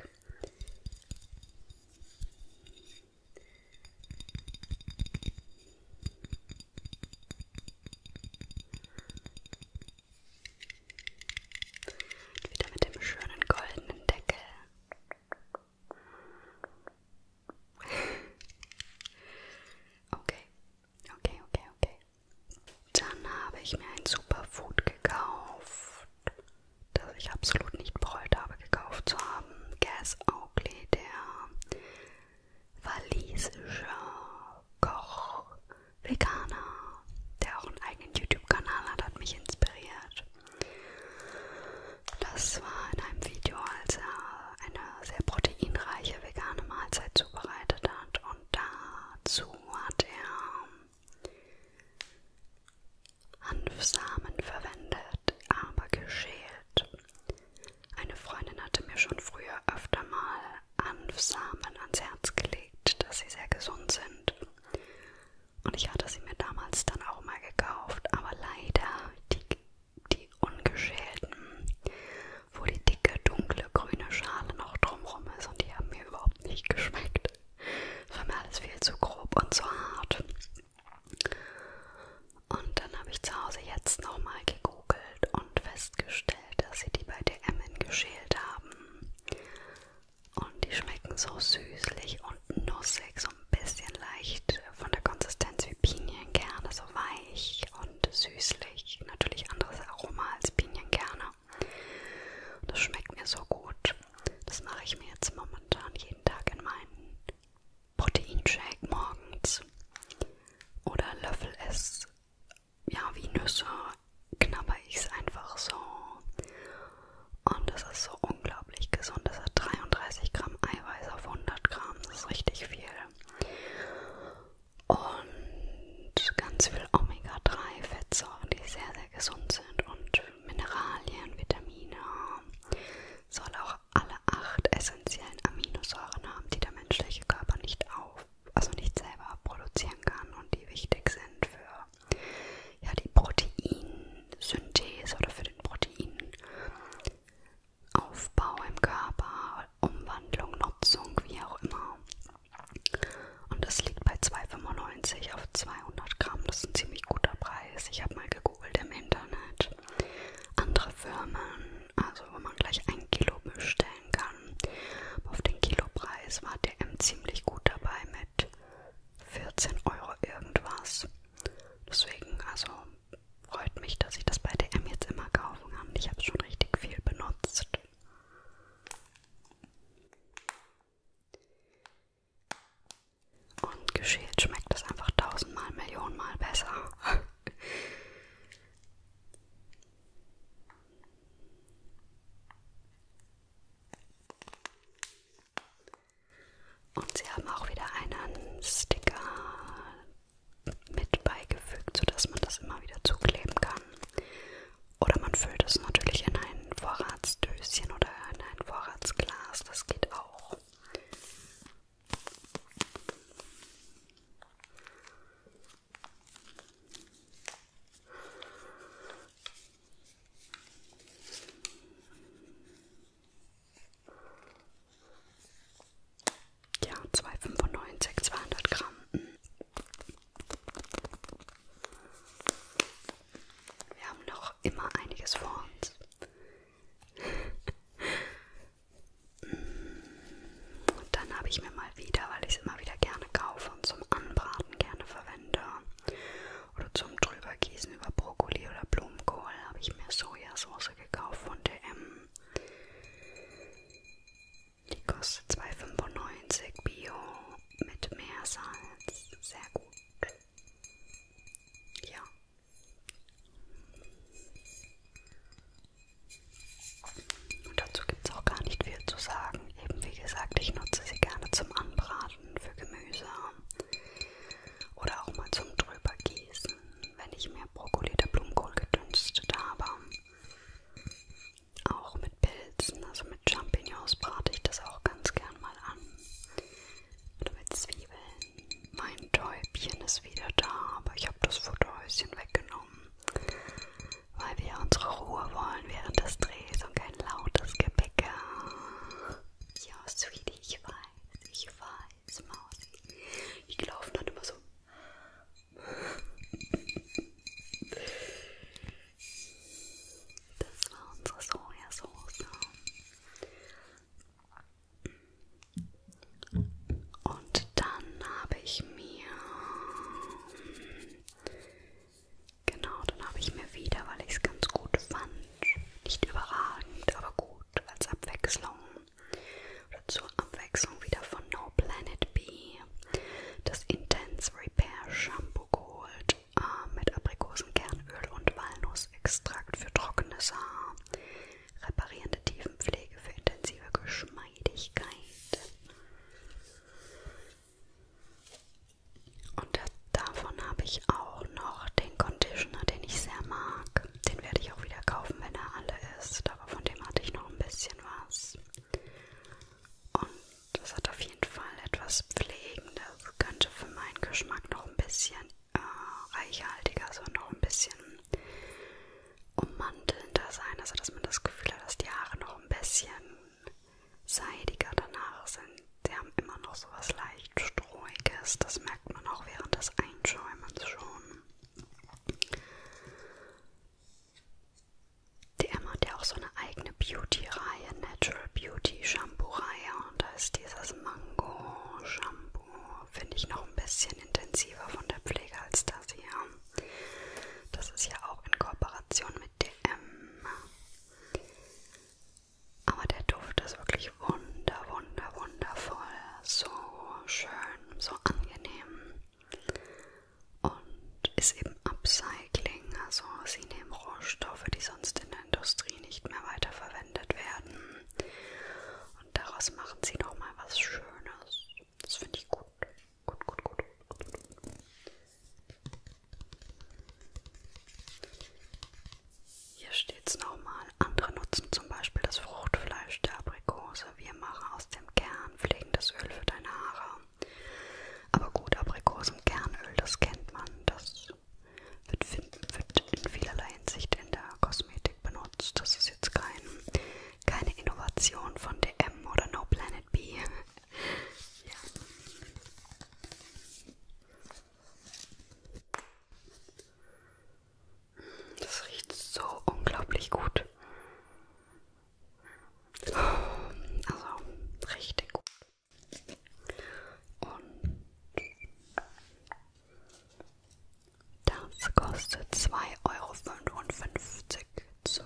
Und wieder mit dem schönen goldenen Deckel. Okay, okay, okay, okay. Dann habe ich mir ein Superfood gekauft, das ich absolut nicht bereut habe, gekauft zu haben. Gas Oakley, der walisische Koch, Veganer, der auch einen eigenen YouTube-Kanal hat, hat mich inspiriert. Das war in einem Video, als er eine sehr proteinreiche vegane Mahlzeit zubereitet hat und dazu hat er Hanfsamen verwendet, aber geschält. Eine Freundin hatte mir schon früher öfter mal Hanfsamen ans Herz gelegt, dass sie sehr gesund sind. Und ich hatte sie mir damals dann auch mal gekauft, aber leider die, die ungeschälten, wo die dicke, dunkle, grüne Schale noch drumrum ist und die haben mir überhaupt nicht geschmeckt. Das war mir alles viel zu grob und zu hart. Und dann habe ich zu Hause jetzt nochmal gegoogelt und festgestellt, dass sie die bei DM geschält haben. Und die schmecken so süßlich und nussig, so ein bisschen leicht von der Konsistenz wie Pinienkerne, so weich und süßlich. Natürlich anderes Aroma als Pinienkerne. Das schmeckt mir so gut. Das mache ich mir jetzt momentan jeden Tag in meinen Proteinshake morgens. Oder löffel es, ja, wie Nüsse knabber ich es einfach so und das ist so unglaublich gesund. Das hat 33 Gramm Eiweiß auf 100 Gramm. Das ist richtig viel. Und ganz viel Omega-3-Fettsäuren, die sehr, sehr gesund sind. Und Mineralien, Vitamine. Soll auch alle acht essentiellen Aminosäuren haben, die der menschliche Körper nicht auf, also nicht selber produzieren kann und die wichtig sind für ja, die Proteinsynthese oder für den Proteinaufbau im Körper, Umwandlung, Nutzung, wie auch immer. Und das liegt bei 2,95 auf 200 Gramm. Das ist ein ziemlich guter Preis. Ich habe mal gegoogelt im Internet. Andere Firmen, also wo man gleich ein Kilo bestellen kann. Auf den Kilopreis war DM ziemlich gut dabei mit 14 Euro irgendwas. Deswegen, also freut mich, dass ich das bei DM jetzt immer kaufen kann. Ich habe es schon richtig viel benutzt. Und geschält schmeckt es einfach tausendmal, millionenmal besser. Und sie haben auch wieder einen Sticker mit beigefügt, sodass man das immer wieder zukleben kann. Oder man füllt es natürlich in ein Vorratsdöschen oder in ein Vorratsglas, das geht auch. Ja, 295, 200 Gramm. Wir haben noch immer einiges vor uns. Und dann habe ich mir mal wieder, weil ich es immer wieder gerne kaufe und zum Anbraten gerne verwende, oder zum Drübergießen über Brokkoli oder Blumenkohl habe ich mir Sojasauce gekauft von DM. Die kostet 2,95 Bio mit Meersalz. Sehr gut. Ja. Und dazu gibt es auch gar nicht viel zu sagen. Eben wie gesagt, ich nutze sie gerne zum Anbraten für Gemüse. Oder auch mal zum Drübergießen, wenn ich mir Brokkoli oder Blumenkohl gedünstet habe. Auch mit Pilzen, also mit Champignons brate ich das auch ganz gern mal an. Oder mit Zwiebeln. Mein Täubchen ist wieder da, aber ich habe das Futterhäuschen weggenommen, weil wir unsere Ruhe wollen während des Drehs und kein lautes Gebäcke. Ja, Sweetie. Ich weiß, ich weiß, Mausi. Ich laufe dann immer so. Das war unsere Sojasauce. Und dann habe ich mir. Genau, dann habe ich mir wieder, weil ich es ganz gut fand, nicht überragend, aber gut als Abwechslung oder zur Abwechslung wieder von No Planet B das Intense Repair Shampoo geholt äh, mit Aprikosenkernöl und Walnussextrakt für trockenes Haar, reparierende Tiefenpflege für intensive Geschmeidigkeit. Und das, davon habe ich auch noch den Conditioner, den ich sehr mag. Den werde ich auch wieder kaufen, wenn er alle ist. Aber von dem hatte ich noch ein bisschen was. Und das hat auf jeden Fall etwas Pflegendes. Könnte für meinen Geschmack noch ein bisschen äh, reichhaltiger, so also noch ein bisschen ummantelnder sein. Also, dass man das Gefühl hat, dass die Haare noch ein bisschen seidiger danach sind die haben immer noch so was leicht Strohiges. Das merkt man auch während des Einschäumens schon. Die Emma hat ja auch so eine eigene Beauty-Reihe, Natural Beauty Shampoo-Reihe. Und da ist dieses Mango-Shampoo, finde ich, noch ein bisschen intensiver von der Pflege als das hier. Das ist ja auch in Kooperation mit DM. Aber der Duft ist wirklich wunder, wunder, wundervoll. So schön, so angenehm. Und ist eben Upcycling. Also sie nehmen Rohstoffe, die sonst in der Industrie nicht mehr weiterverwendet werden. Und daraus machen sie nochmal was Schönes. Das finde ich gut. Gut, gut, gut. Hier steht es nochmal. Andere nutzen zum Beispiel das Fruchtfleisch der Aprikose. Wir machen aus dem Kern pflegendes Öl für deine Haare. Aber gut, Aprikosenkernöl, das kennt man. Das wird, wird in vielerlei Hinsicht in der Kosmetik benutzt. Das ist jetzt kein, keine Innovation von DM oder No Planet B. ja. Das riecht so unglaublich gut. Also richtig gut. Und das kostet 2,55 Euro. 2,55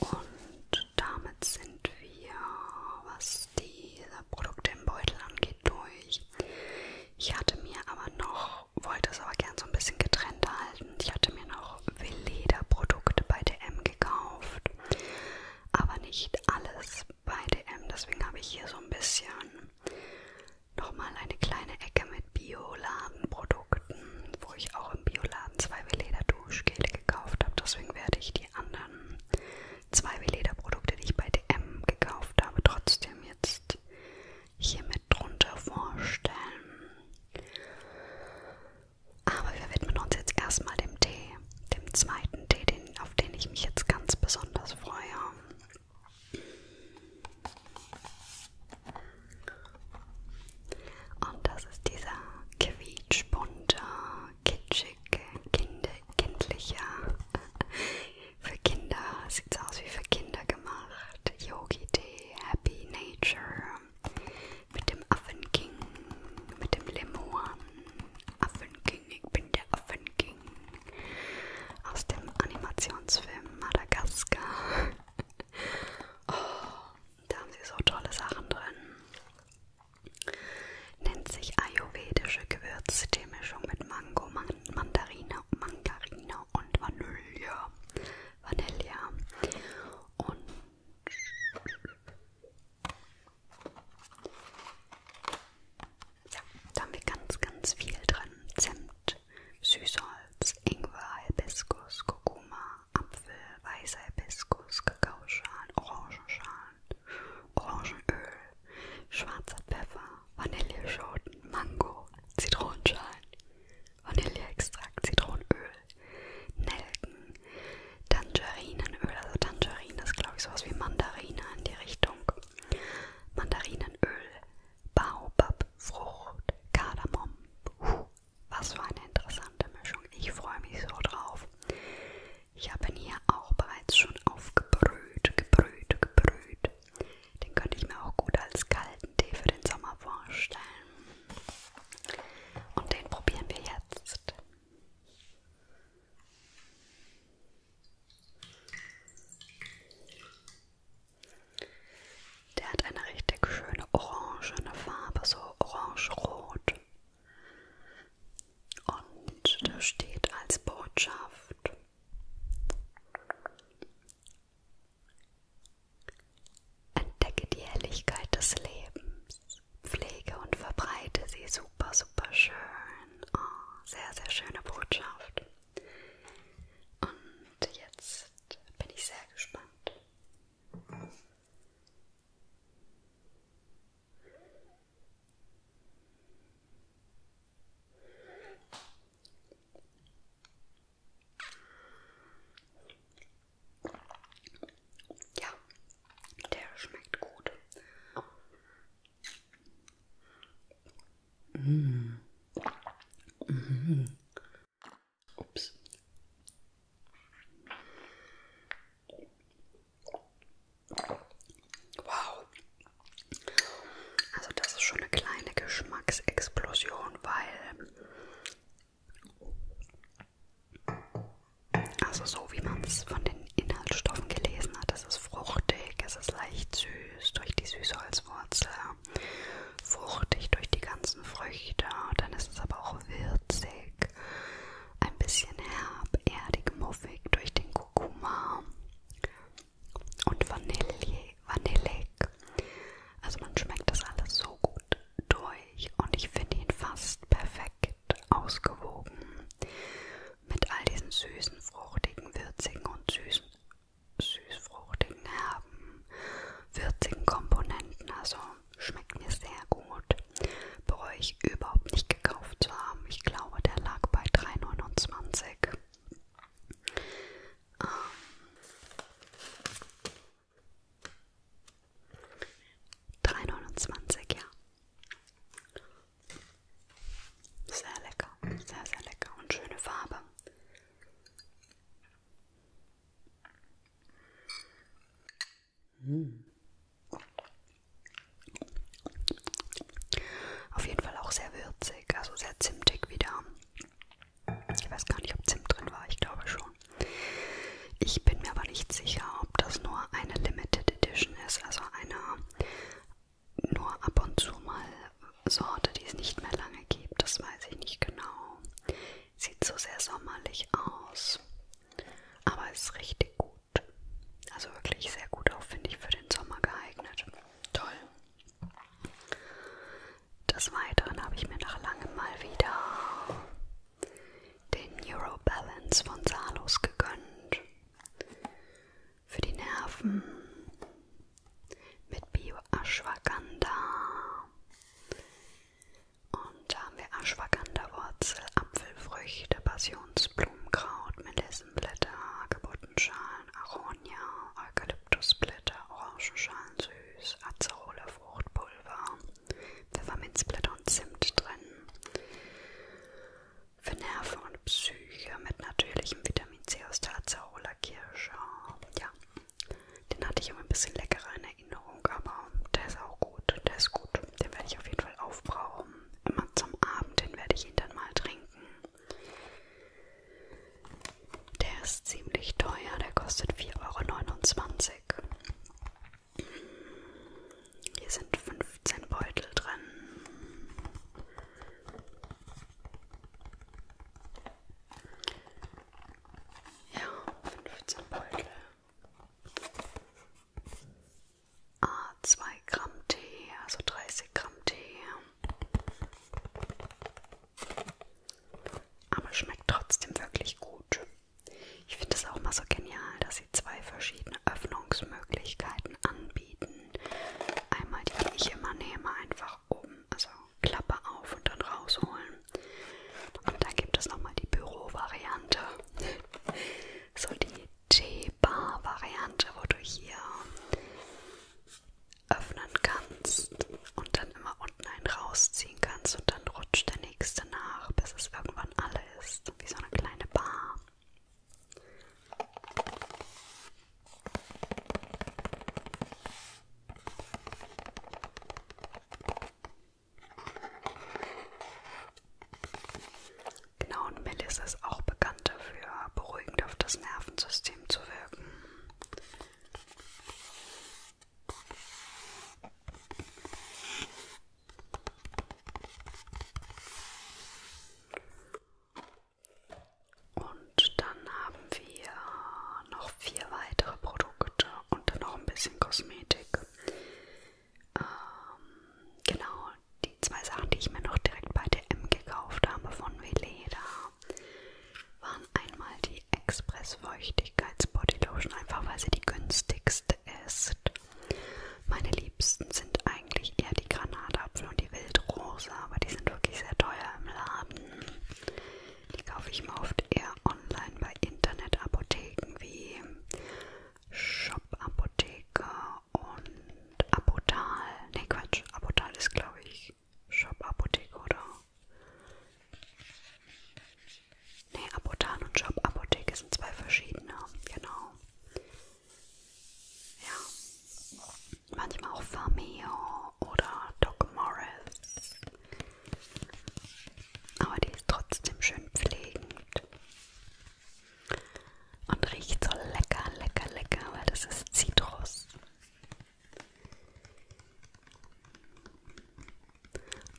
Euro. Und und damit sind wir, was diese Produkte im Beutel angeht, durch. Ich hatte mir aber noch, wollte es aber gern so ein bisschen getrennt halten. Ich hatte mir noch Veleda-Produkte bei DM gekauft, aber nicht alles bei DM. Deswegen habe ich hier so ein bisschen nochmal eine kleine Ecke mit Bioladenprodukten, wo ich auch im Bioladen zwei Veleda-Duschgele gekauft habe. Deswegen werde ich die anderen zwei Veleda-Produkte, die ich bei DM gekauft habe, trotzdem jetzt hier mit drunter vorstellen. Aber wir widmen uns jetzt erstmal dem Tee, dem zweiten Tee, den, auf den ich mich jetzt ganz besonders freue. Und das ist dieser quietschbunte kitschig, kind, kindlicher. Für Kinder sieht es aus wie für Kinder gemacht. Yogi-Tee, Happy Nature, mit dem Affenking, mit dem Lemoan. Affenking, ich bin der Affenking. Aus dem Animationsfilm Madagaskar. Oh, da haben sie so tolle Sachen drin. Nennt sich ayurvedische Gewürzteemischung mit Mango, Man Mandarine, Mangarine und Vanille. Vanille. Und ja, da haben wir ganz, ganz viel drin. Zimt, Süßholz, Ingwer, Hibiskus, Kurkuma, Apfel, weißer Hibiskus, Kakaoschalen, Orangenschalen, Orangenöl, schwarzer Pfeffer, Vanilleschoten, Mango, Zitronenschalen, Vanilleextrakt, Zitronenöl, Nelken, Tangerinenöl, also Tangerine ist glaube ich sowas wie Mandarine in die Richtung, Mandarinenöl, Baobab, Frucht, Kardamom, Puh, was für eine interessante Mischung, ich freue mich so drauf. Ich habe ihn hier auch bereits schon aufgebrüht, gebrüht, gebrüht. Den könnte ich mir auch gut als kalten Tee für den Sommer vorstellen. Und den probieren wir jetzt. Der hat eine richtig schöne orangene Farbe, so orange-rot. Und da steht als Botschaft, entdecke die Helligkeit des Lebens, pflege und verbreite sie super, super schön. Oh, sehr, sehr schöne Botschaft. Und jetzt bin ich sehr gespannt. Ja, der schmeckt gut. Mm. Mm. Ups. Wow. Also das ist schon eine kleine Geschmacksexplosion, weil... Also so wie man es von den Inhaltsstoffen gelesen hat, es ist fruchtig, es ist leicht süß durch die Süßholzwurzel, fruchtig durch die ganzen Früchte, dann ist es aber auch würzig, Geschmack. Ein bisschen herb, erdig, muffig durch den Kurkuma und Vanille, vanillig. Also man schmeckt das alles so gut durch und ich finde ihn fast perfekt ausgewogen mit all diesen süßen, fruchtigen, würzigen und süßen, süßfruchtigen, herben, würzigen Komponenten. Also schmeckt mir sehr gut bereue ich überhaupt nicht gekauft zu haben. Ich glaube, der lag bei 3,29. Ähm $3,29, ja. Sehr lecker, sehr, sehr lecker und schöne Farbe. Hm. Auf jeden Fall auch sehr würzig, also sehr zimtig wieder. Ich weiß gar nicht, ob Zimt drin war, ich glaube schon. Ich bin mir aber nicht sicher, ob das nur eine Limited Edition ist, also eine nur ab und zu mal Sorte, die es nicht mehr lange gibt. Das weiß ich nicht genau. Sieht so sehr sommerlich aus, aber ist richtig gut. Also wirklich sehr gut auch, finde ich, für den Sommer geeignet. Toll. Des Weiteren habe ich mir nach langem mal wieder den Neuro Balance von Salos gegönnt. Für die Nerven mit Bio-Ashwagandha. Und da haben wir Ashwagandha-Wurzel, Apfelfrüchte, Passionsblumen. Krumkraut, Melissenblätter, Hagebuttenschalen, Aronia, Eukalyptusblätter, Orangenschalen süß, Azerole, Fruchtpulver, Pfefferminzblätter und Zimt drin. Für Nerven und Psyche mit natürlichem Vitamin C aus der Azarola Kirsche. Ja, den hatte ich immer ein bisschen leckerer in Erinnerung, aber der ist auch gut, der ist gut. Den werde ich auf jeden Fall aufbrauchen immer zum Abend hin werde ich ihn dann mal trinken. Der ist ziemlich teuer, der kostet 4,29 Euro. Hier sind 15 Beutel drin. Ja, 15 Beutel ah, 2 Gramm Tee, also 30 Gramm Tee. Aber schmeckt trotzdem wirklich gut. Ich finde es auch mal so genial, dass sie zwei verschiedene Öffnungsmöglichkeiten anbieten. Einmal die, die ich immer nehme, einfach oben, also Klappe auf und dann rausholen. Und dann gibt es nochmal die Bürovariante. So die T-Bar-Variante, wo du hier öffnen kannst und dann immer unten einen rausziehen kannst und dann rutscht der nächste nach, bis es irgendwann alle ist, wie so eine kleine Bar. Genau, und Melisse ist auch bekannt dafür, beruhigend auf das Nervensystem zu wirken. Und dann haben wir noch vier weitere Produkte und dann noch ein bisschen Kosmetik. Ähm, genau, die zwei Sachen, die ich mir noch direkt bei DM gekauft habe von Veleda, waren einmal die Express Feuchtigkeits Body Lotion, einfach weil sie die günstigste ist. Meine liebsten sind eigentlich eher die Granatapfel und die Wildrose, aber die sind wirklich sehr teuer im Laden. Die kaufe ich mir oft eher online bei Internetapotheken wie Shop-Apotheke und Apotal. Ne, Quatsch. Apotal ist, glaube ich, Shop Apotheke, oder? Ne, Apotal und Shop Apotheke sind zwei verschiedene. Genau. Ja. Manchmal auch Fameo oder Doc Morris. Aber die ist trotzdem schön pflegend. Und riecht so lecker, lecker, lecker, weil das ist Zitrus.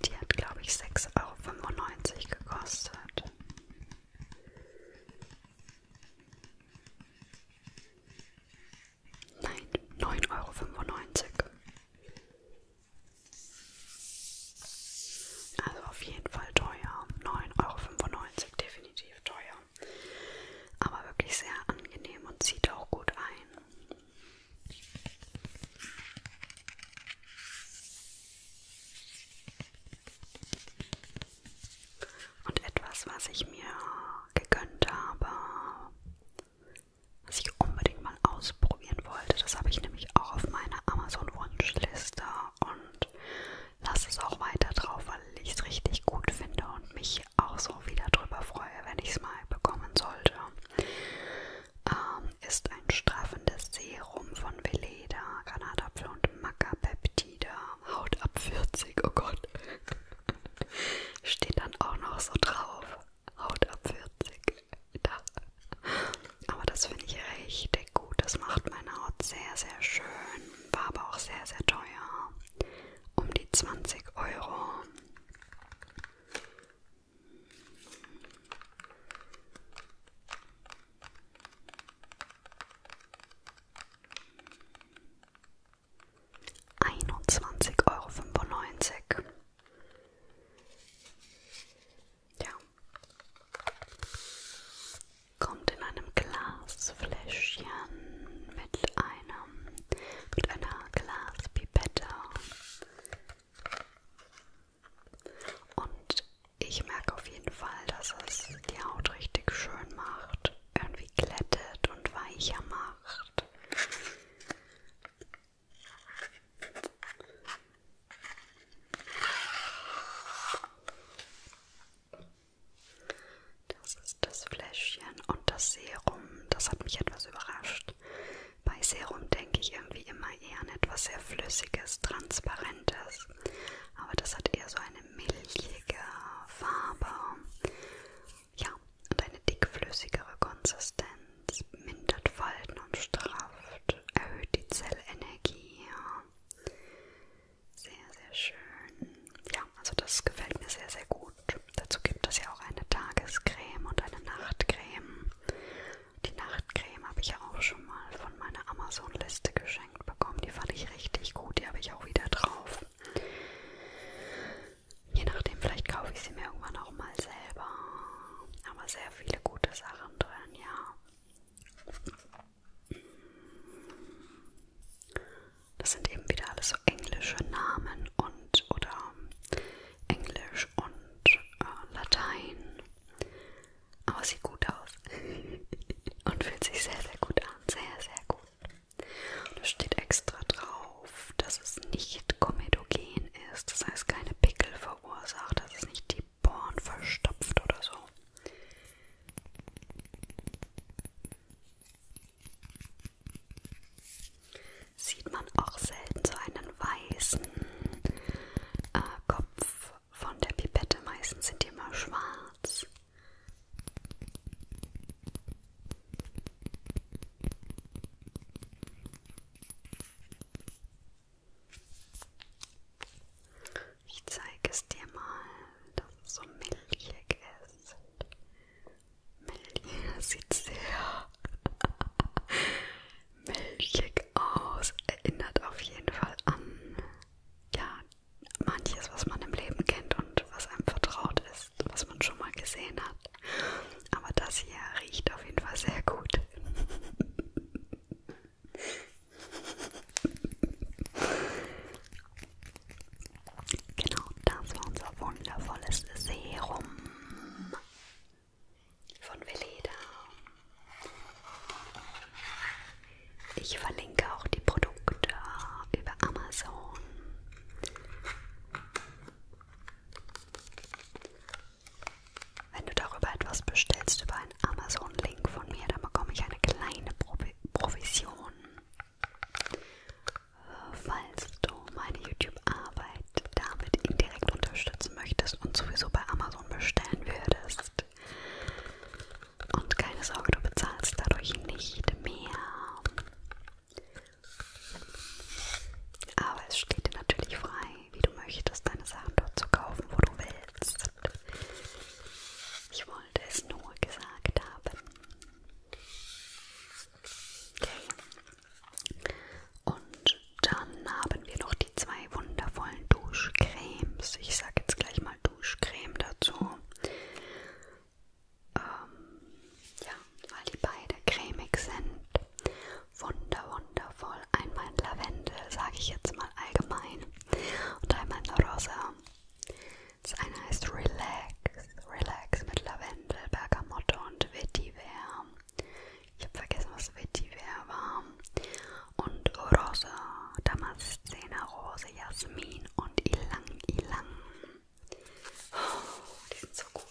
Die hat, glaube ich, 6,95 Euro gekostet. Nein, 9,95 Euro. Also auf jeden Fall teuer. 9,95 Euro definitiv teuer, aber wirklich sehr angenehm und zieht auch gut ein. Und etwas, was ich mir gegönnt habe, was ich unbedingt mal ausprobieren wollte, das habe ich nämlich auch auf meiner Amazon-Wunschliste und und lasse es auch weiter drauf, weil ich es richtig gut finde und mich auch so wieder drüber freue, wenn ich es mal bekommen sollte. Ähm, ist ein straffendes Serum von Veleda, Granatapfel und Macapeptide, Haut ab 40, oh Gott. Steht dann auch noch so drauf. Haut ab 40. Da. Aber das finde ich richtig gut. Das macht meine Haut sehr, sehr schön war aber auch sehr, sehr teuer. Um die 20 Euro. Einundzwanzig Euro fünfundneunzig. Ja kommt in einem Glasfläschchen mit einem mit einer Glaspipette. Und ich merke auf jeden Fall, dass es die Haut richtig schön macht, irgendwie glättet und weicher macht. Das ist das Fläschchen und das Serum. Das hat mich etwas überrascht. Bei Serum denke ich irgendwie immer eher an etwas sehr Flüssiges, Transparentes. Aber das hat eher so eine milchige Farbe. Ja, und eine dickflüssigere Konsistenz. Mindert Falten und strafft, erhöht die Zellenergie. Sehr, sehr schön. Ja, also das gefällt mir sehr, sehr gut. Dazu gibt es ja auch eine Tagescreme und eine Nachtcreme. Die Nachtcreme habe ich ja auch schon mal von meiner Amazon-Liste geschenkt bekommen. Die fand ich richtig gut. Die habe ich auch wieder drauf. Je nachdem, vielleicht kaufe ich sie mir irgendwann auch mal selber. Aber sehr viele gute Sachen drin, ja. Das sind eben wieder alles so englische Namen und oder Englisch und äh, Latein. Aber sieht gut aus und fühlt sich sehr, sehr gut an. Sehr, sehr gut. Da steht extra drauf, dass es nicht komedogen ist. Das heißt, keine Pickel verursacht. Das ist nicht die Born verstopft oder so. Sieht man auch selten so einen weißen äh, Kopf von der Pipette. Meistens sind die immer schwarz. Ich zeige es dir mal, dass es so milchig ist. Milchig, das sieht sehr milchig aus. Erinnert auf jeden Fall an ja, manches, was man im Leben kennt und was einem vertraut ist, was man schon mal gesehen hat. Aber das hier riecht auf jeden Fall sehr gut. Genau, das war unser wundervolles Serum von Veleda. Ich verlinke auch die Produkte über Amazon. Wenn du darüber etwas bestellst über einen Amazon-Link von mir, dann bekomme ich eine kleine Pro Provision. Falls du meine YouTube-Arbeit damit indirekt unterstützen möchtest und sowieso bei Amazon bestellen würdest. Und keine Sorge, du bezahlst dadurch nicht mehr. Aber es steht dir natürlich frei, wie du möchtest, deine Sachen dort zu kaufen, wo du willst willst. Ich wollte es nur gesagt haben. Okay. Und dann haben wir noch die zwei wundervollen Duschcremes. Ich sage jetzt gleich mal Duschcreme dazu. Ähm, ja, weil die beide cremig sind. Wunder, wundervoll. Einmal Lavendel, sage ich jetzt mal allgemein. Und einmal Rosa. Das eine heißt Relax, Relax mit Lavendel, Bergamotte und Vetiver. Ich habe vergessen, was Vetiver war. Und Rose, Damascena, Rose, Jasmin und Ilang Ilang. Oh, die sind so gut.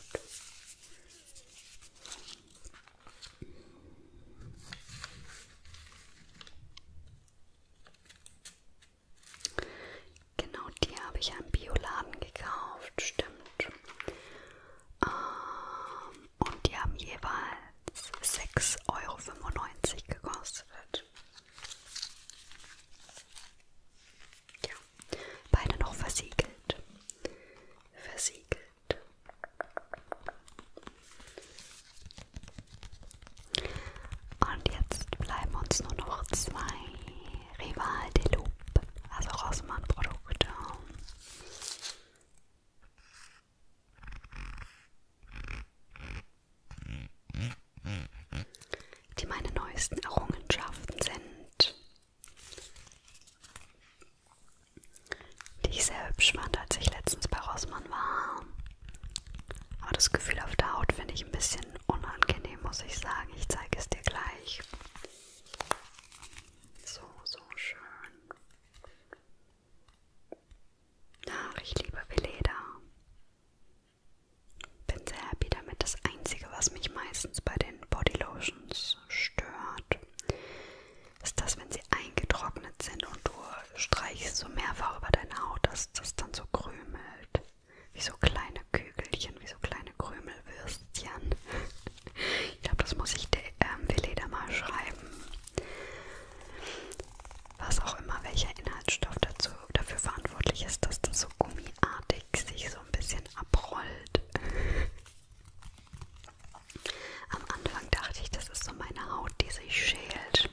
Genau, die habe ich im Bioladen gekauft, stimmt. Ähm, und die haben jeweils 6,95 Euro gekostet. Ja, beide noch versiegelt. Versiegelt. Und jetzt bleiben uns nur noch zwei Rival de Loup, also Rossmann-Produkte. Die meine neuesten Errungenschaften sind, die ich sehr hübsch fand, als ich letztens bei Rossmann war. Aber das Gefühl auf der Haut finde ich ein bisschen unangenehm, muss ich sagen. Ich zeige es dir gleich. So, so schön. Ach, ich liebe Veleda. Bin sehr happy damit. Das Einzige, was mich meistens bei den Bodylotions stört, ist das, wenn sie eingetrocknet sind und du du streichst so mehrfach über deine Haut, dass das dann so krümelt. Wie so kleine Kügelchen, wie so kleine Krümelwürstchen. Ich glaube, das muss ich der ähm, Veleda mal schreiben. Was auch immer, welcher Inhaltsstoff dazu, dafür verantwortlich ist, dass das so gummiartig sich so ein bisschen abrollt. Am Anfang dachte ich, das ist so meine Haut, die sich schält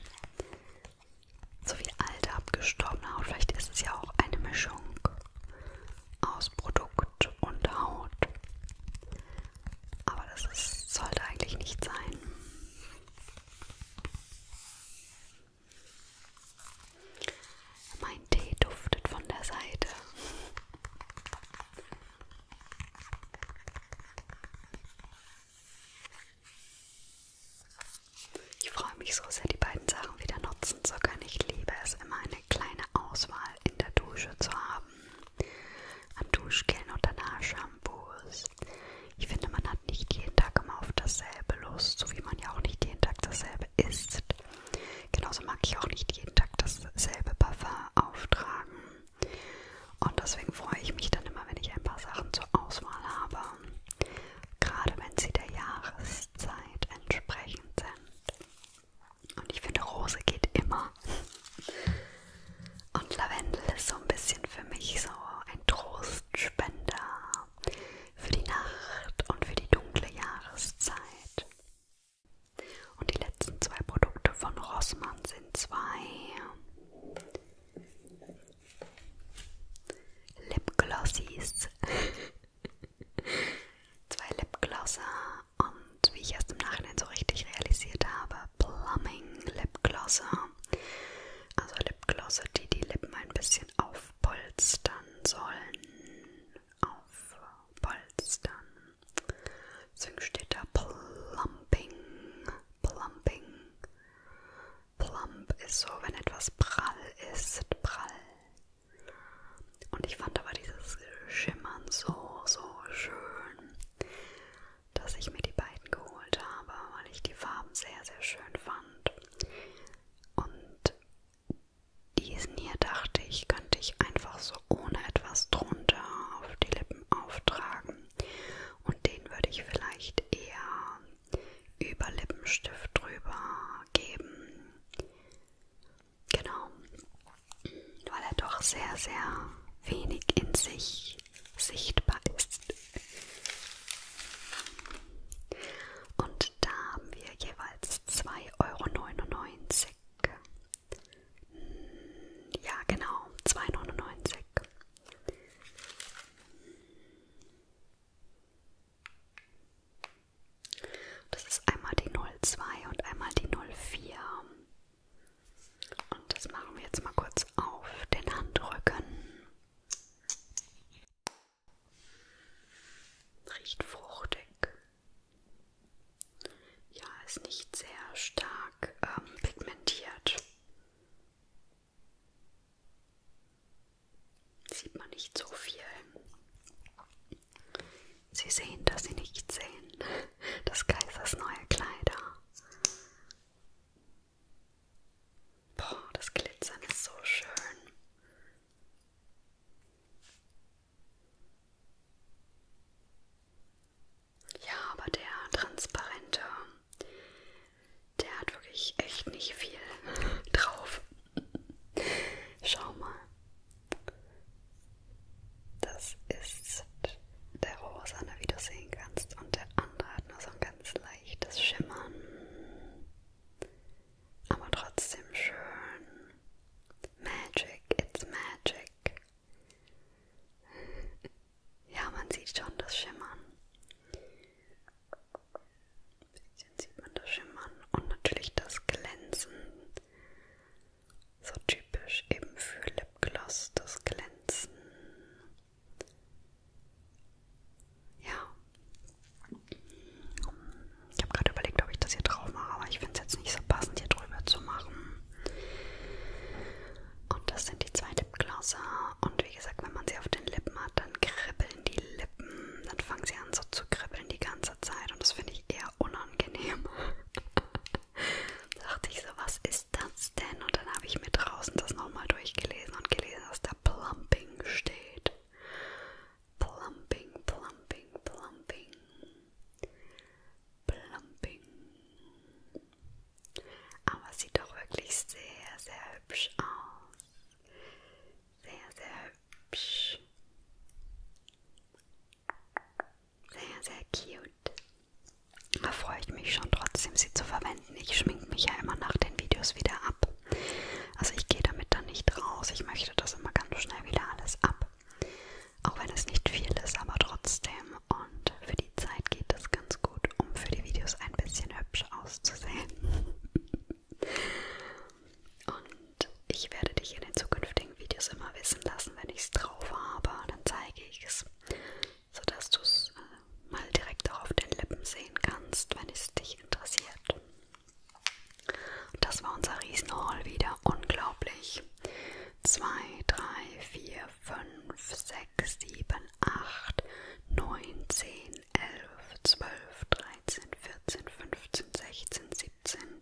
sowie alte abgestorbene Haut. Vielleicht ist es ja auch eine Mischung aus Produkt und Haut. Aber das ist, sollte eigentlich nicht sein. Mein Tee duftet von der Seite. Ich freue mich so sehr, die beiden Sachen wieder nutzen zu können. Ich liebe es immer, eine kleine Auswahl in der Dusche zu haben. An Duschgelen und danach Shampoos. Ich finde, man hat nicht jeden Tag immer auf dasselbe Lust, so wie man ja auch nicht jeden Tag dasselbe isst. Genauso mag ich auch nicht jeden Tag dasselbe Parfum auftragen. Und deswegen freue ich mich dann immer, wenn ich ein paar Sachen zur Auswahl habe, gerade wenn sie der Jahreszeit entsprechend sind. Und ich finde, Rose geht immer. Und Lavendel ist so ein bisschen für mich so ein Trostspender für die Nacht und für die dunkle Jahreszeit. Und die letzten zwei Produkte von Rossmann sind zwei Lipglossies. Zwei Lipglosser und wie ich erst im Nachhinein so richtig realisiert habe, Plumbing Lipglosser. Also Lipglosser, die die Lippen ein bisschen aufpolstern sollen. Aufpolstern. Deswegen steht da Plumping. Plumping. Plump ist so, wenn etwas prall ist, prall. Und ich fand aber dieses Schimmern so, so schön, dass ich mir die beiden geholt habe, weil ich die Farben sehr, sehr schön fand. Und diesen hier dachte ich, könnte ich einfach so ohne etwas drunter auf die Lippen auftragen. Und den würde ich vielleicht eher über Lippenstift drüber geben. Genau. Weil er doch sehr, sehr wenig in sich sichtbar ist. Und da haben wir jeweils 2,99 Euro. Ja, genau, 2,99 Euro. Das ist einmal die 02 und einmal die 04. Und das machen wir jetzt mal kurz auf den Handrücken. Riecht fruchtig. Ja, ist nicht sehr stark ähm, pigmentiert. Sieht man nicht so viel. Sie sehen, dass sie nicht sehen. Das Kaisers neue Kleider. Boah, das Glitzern ist so schön. Ja, aber der transparente der hat wirklich echt nicht viel drauf. Schau mal. Das ist der rosane, wie du sehen kannst. Und der andere hat nur so ein ganz leichtes Schimmern. Aber trotzdem schön. Magic, it's magic. Ja, man sieht schon das Schimmern. Ein bisschen sieht man das Schimmern und natürlich das Glänzen. So typisch eben für Lipgloss, das Glänzen. Ja. Ich habe gerade überlegt, ob ich das hier drauf mache, aber ich finde es jetzt nicht so passend, hier drüber zu machen. Und das sind die zwei Lipglosser. Und wie gesagt, wenn man sie auf den Lippen hat, dann kribbeln in die Lippen, dann fangen sie an so zu kribbeln die ganze Zeit und das finde ich eher unangenehm. da dachte ich so, was ist das denn? Und dann habe ich mir draußen das nochmal durchgelesen und gelesen, dass da Plumping steht. Plumping, Plumping, Plumping. Plumping. Aber es sieht doch wirklich sehr, sehr hübsch aus. Sehr, sehr hübsch. Sehr, sehr cute. Da freue ich mich schon trotzdem, sie zu verwenden. Ich schminke mich ja immer nach den Videos wieder ab. Also ich gehe damit dann nicht raus. Ich möchte das immer ganz schnell wieder alles ab. Auch wenn es nicht viel ist, aber trotzdem. Und für die Zeit geht es ganz gut, um für die Videos ein bisschen hübsch auszusehen. Und ich werde dich in den zukünftigen Videos immer wissen lassen, wenn ich es drauf habe. Dann zeige ich es, sodass du es äh, mal direkt auch auf den Lippen sehen kannst, wenn es dich interessiert. Und das war unser Riesenhaul wieder. Unglaublich. 2, 3, 4, 5, 6, 7, 8, 9, 10, 11, 12, 13. 13, 14, 15, 16, 17,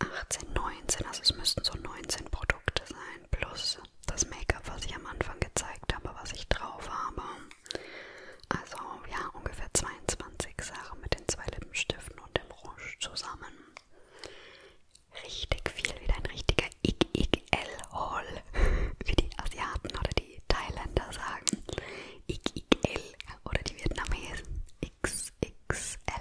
18, 19. Also es müssten so 19 Produkte sein, plus das Make-up, was ich am Anfang gezeigt habe, was ich drauf habe. Also ja, ungefähr 22 Sachen mit den zwei Lippenstiften und dem Rouge zusammen. Richtig viel, wieder ein richtiger XXL-Haul, wie die Asiaten oder die die Thailänder sagen XXL oder die Vietnamesen XXL.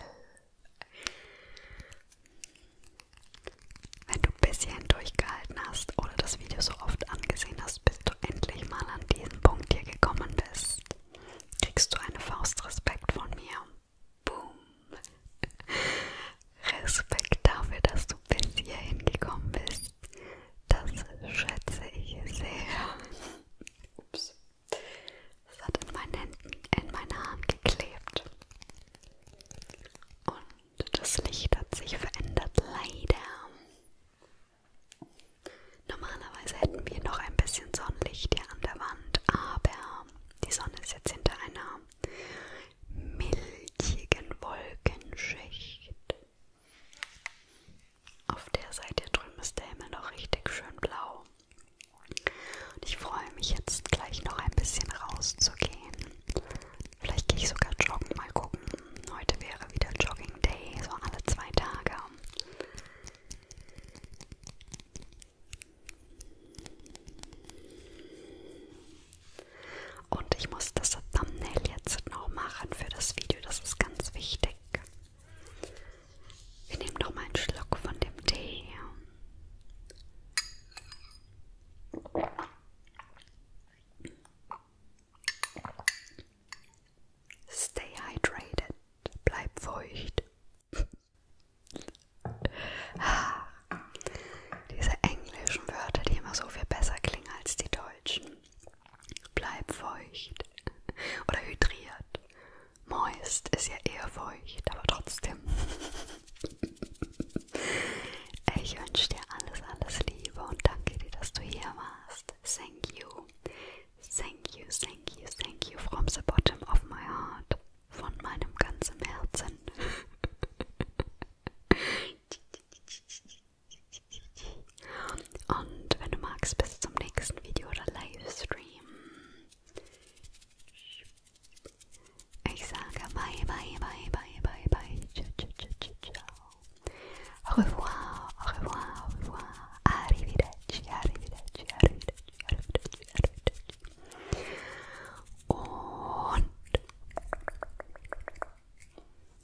Wenn du ein bisschen durchgehalten hast oder das Video so oft angesehen hast, bis du endlich mal an diesen Punkt hier gekommen bist, kriegst du eine Faust Respekt von mir. Boom! Respekt dafür, dass du bis hierhin gekommen bist. Das schätze ich sehr. Ups. Es hat in meinen Händen, in meiner Hand geklebt. Und das Licht hat sich verändert, leider. Normalerweise hätten wir noch ein bisschen Sonnenlicht hier an der Wand, aber die Sonne ist jetzt hinter einer milchigen Wolkenschicht. Auf der Seite drüben ist der Himmel noch richtig schön blau. Und ich freue mich jetzt gleich noch ein bisschen rauszugehen. Vielleicht gehe ich sogar joggen, mal gucken. Heute wäre wieder Jogging Day, so alle zwei Tage. Und ich muss das Thumbnail jetzt noch machen für das Video. Das ist ganz wichtig. Wir nehmen noch mal einen Schluck von dem Tee. Stay hydrated, bleib feucht. Diese englischen Wörter, die immer so viel besser klingen als die deutschen. Bleib feucht oder hydriert. Moist ist ja eher feucht, aber trotzdem. Ich wünsche dir alles, alles Liebe und danke dir, dass du hier warst. Thank you. Thank you, thank you, thank you from the bottom of my heart. Von meinem ganzen Herzen. Und wenn du magst, bis zum nächsten Video oder Livestream. Ich sage bye, bye, bye, bye, bye, bye. Ciao, ciao, ciao, ciao. Au revoir, au revoir, au revoir. Arrivederci, arrivederci, arrivederci, arrivederci, arrivederci. Und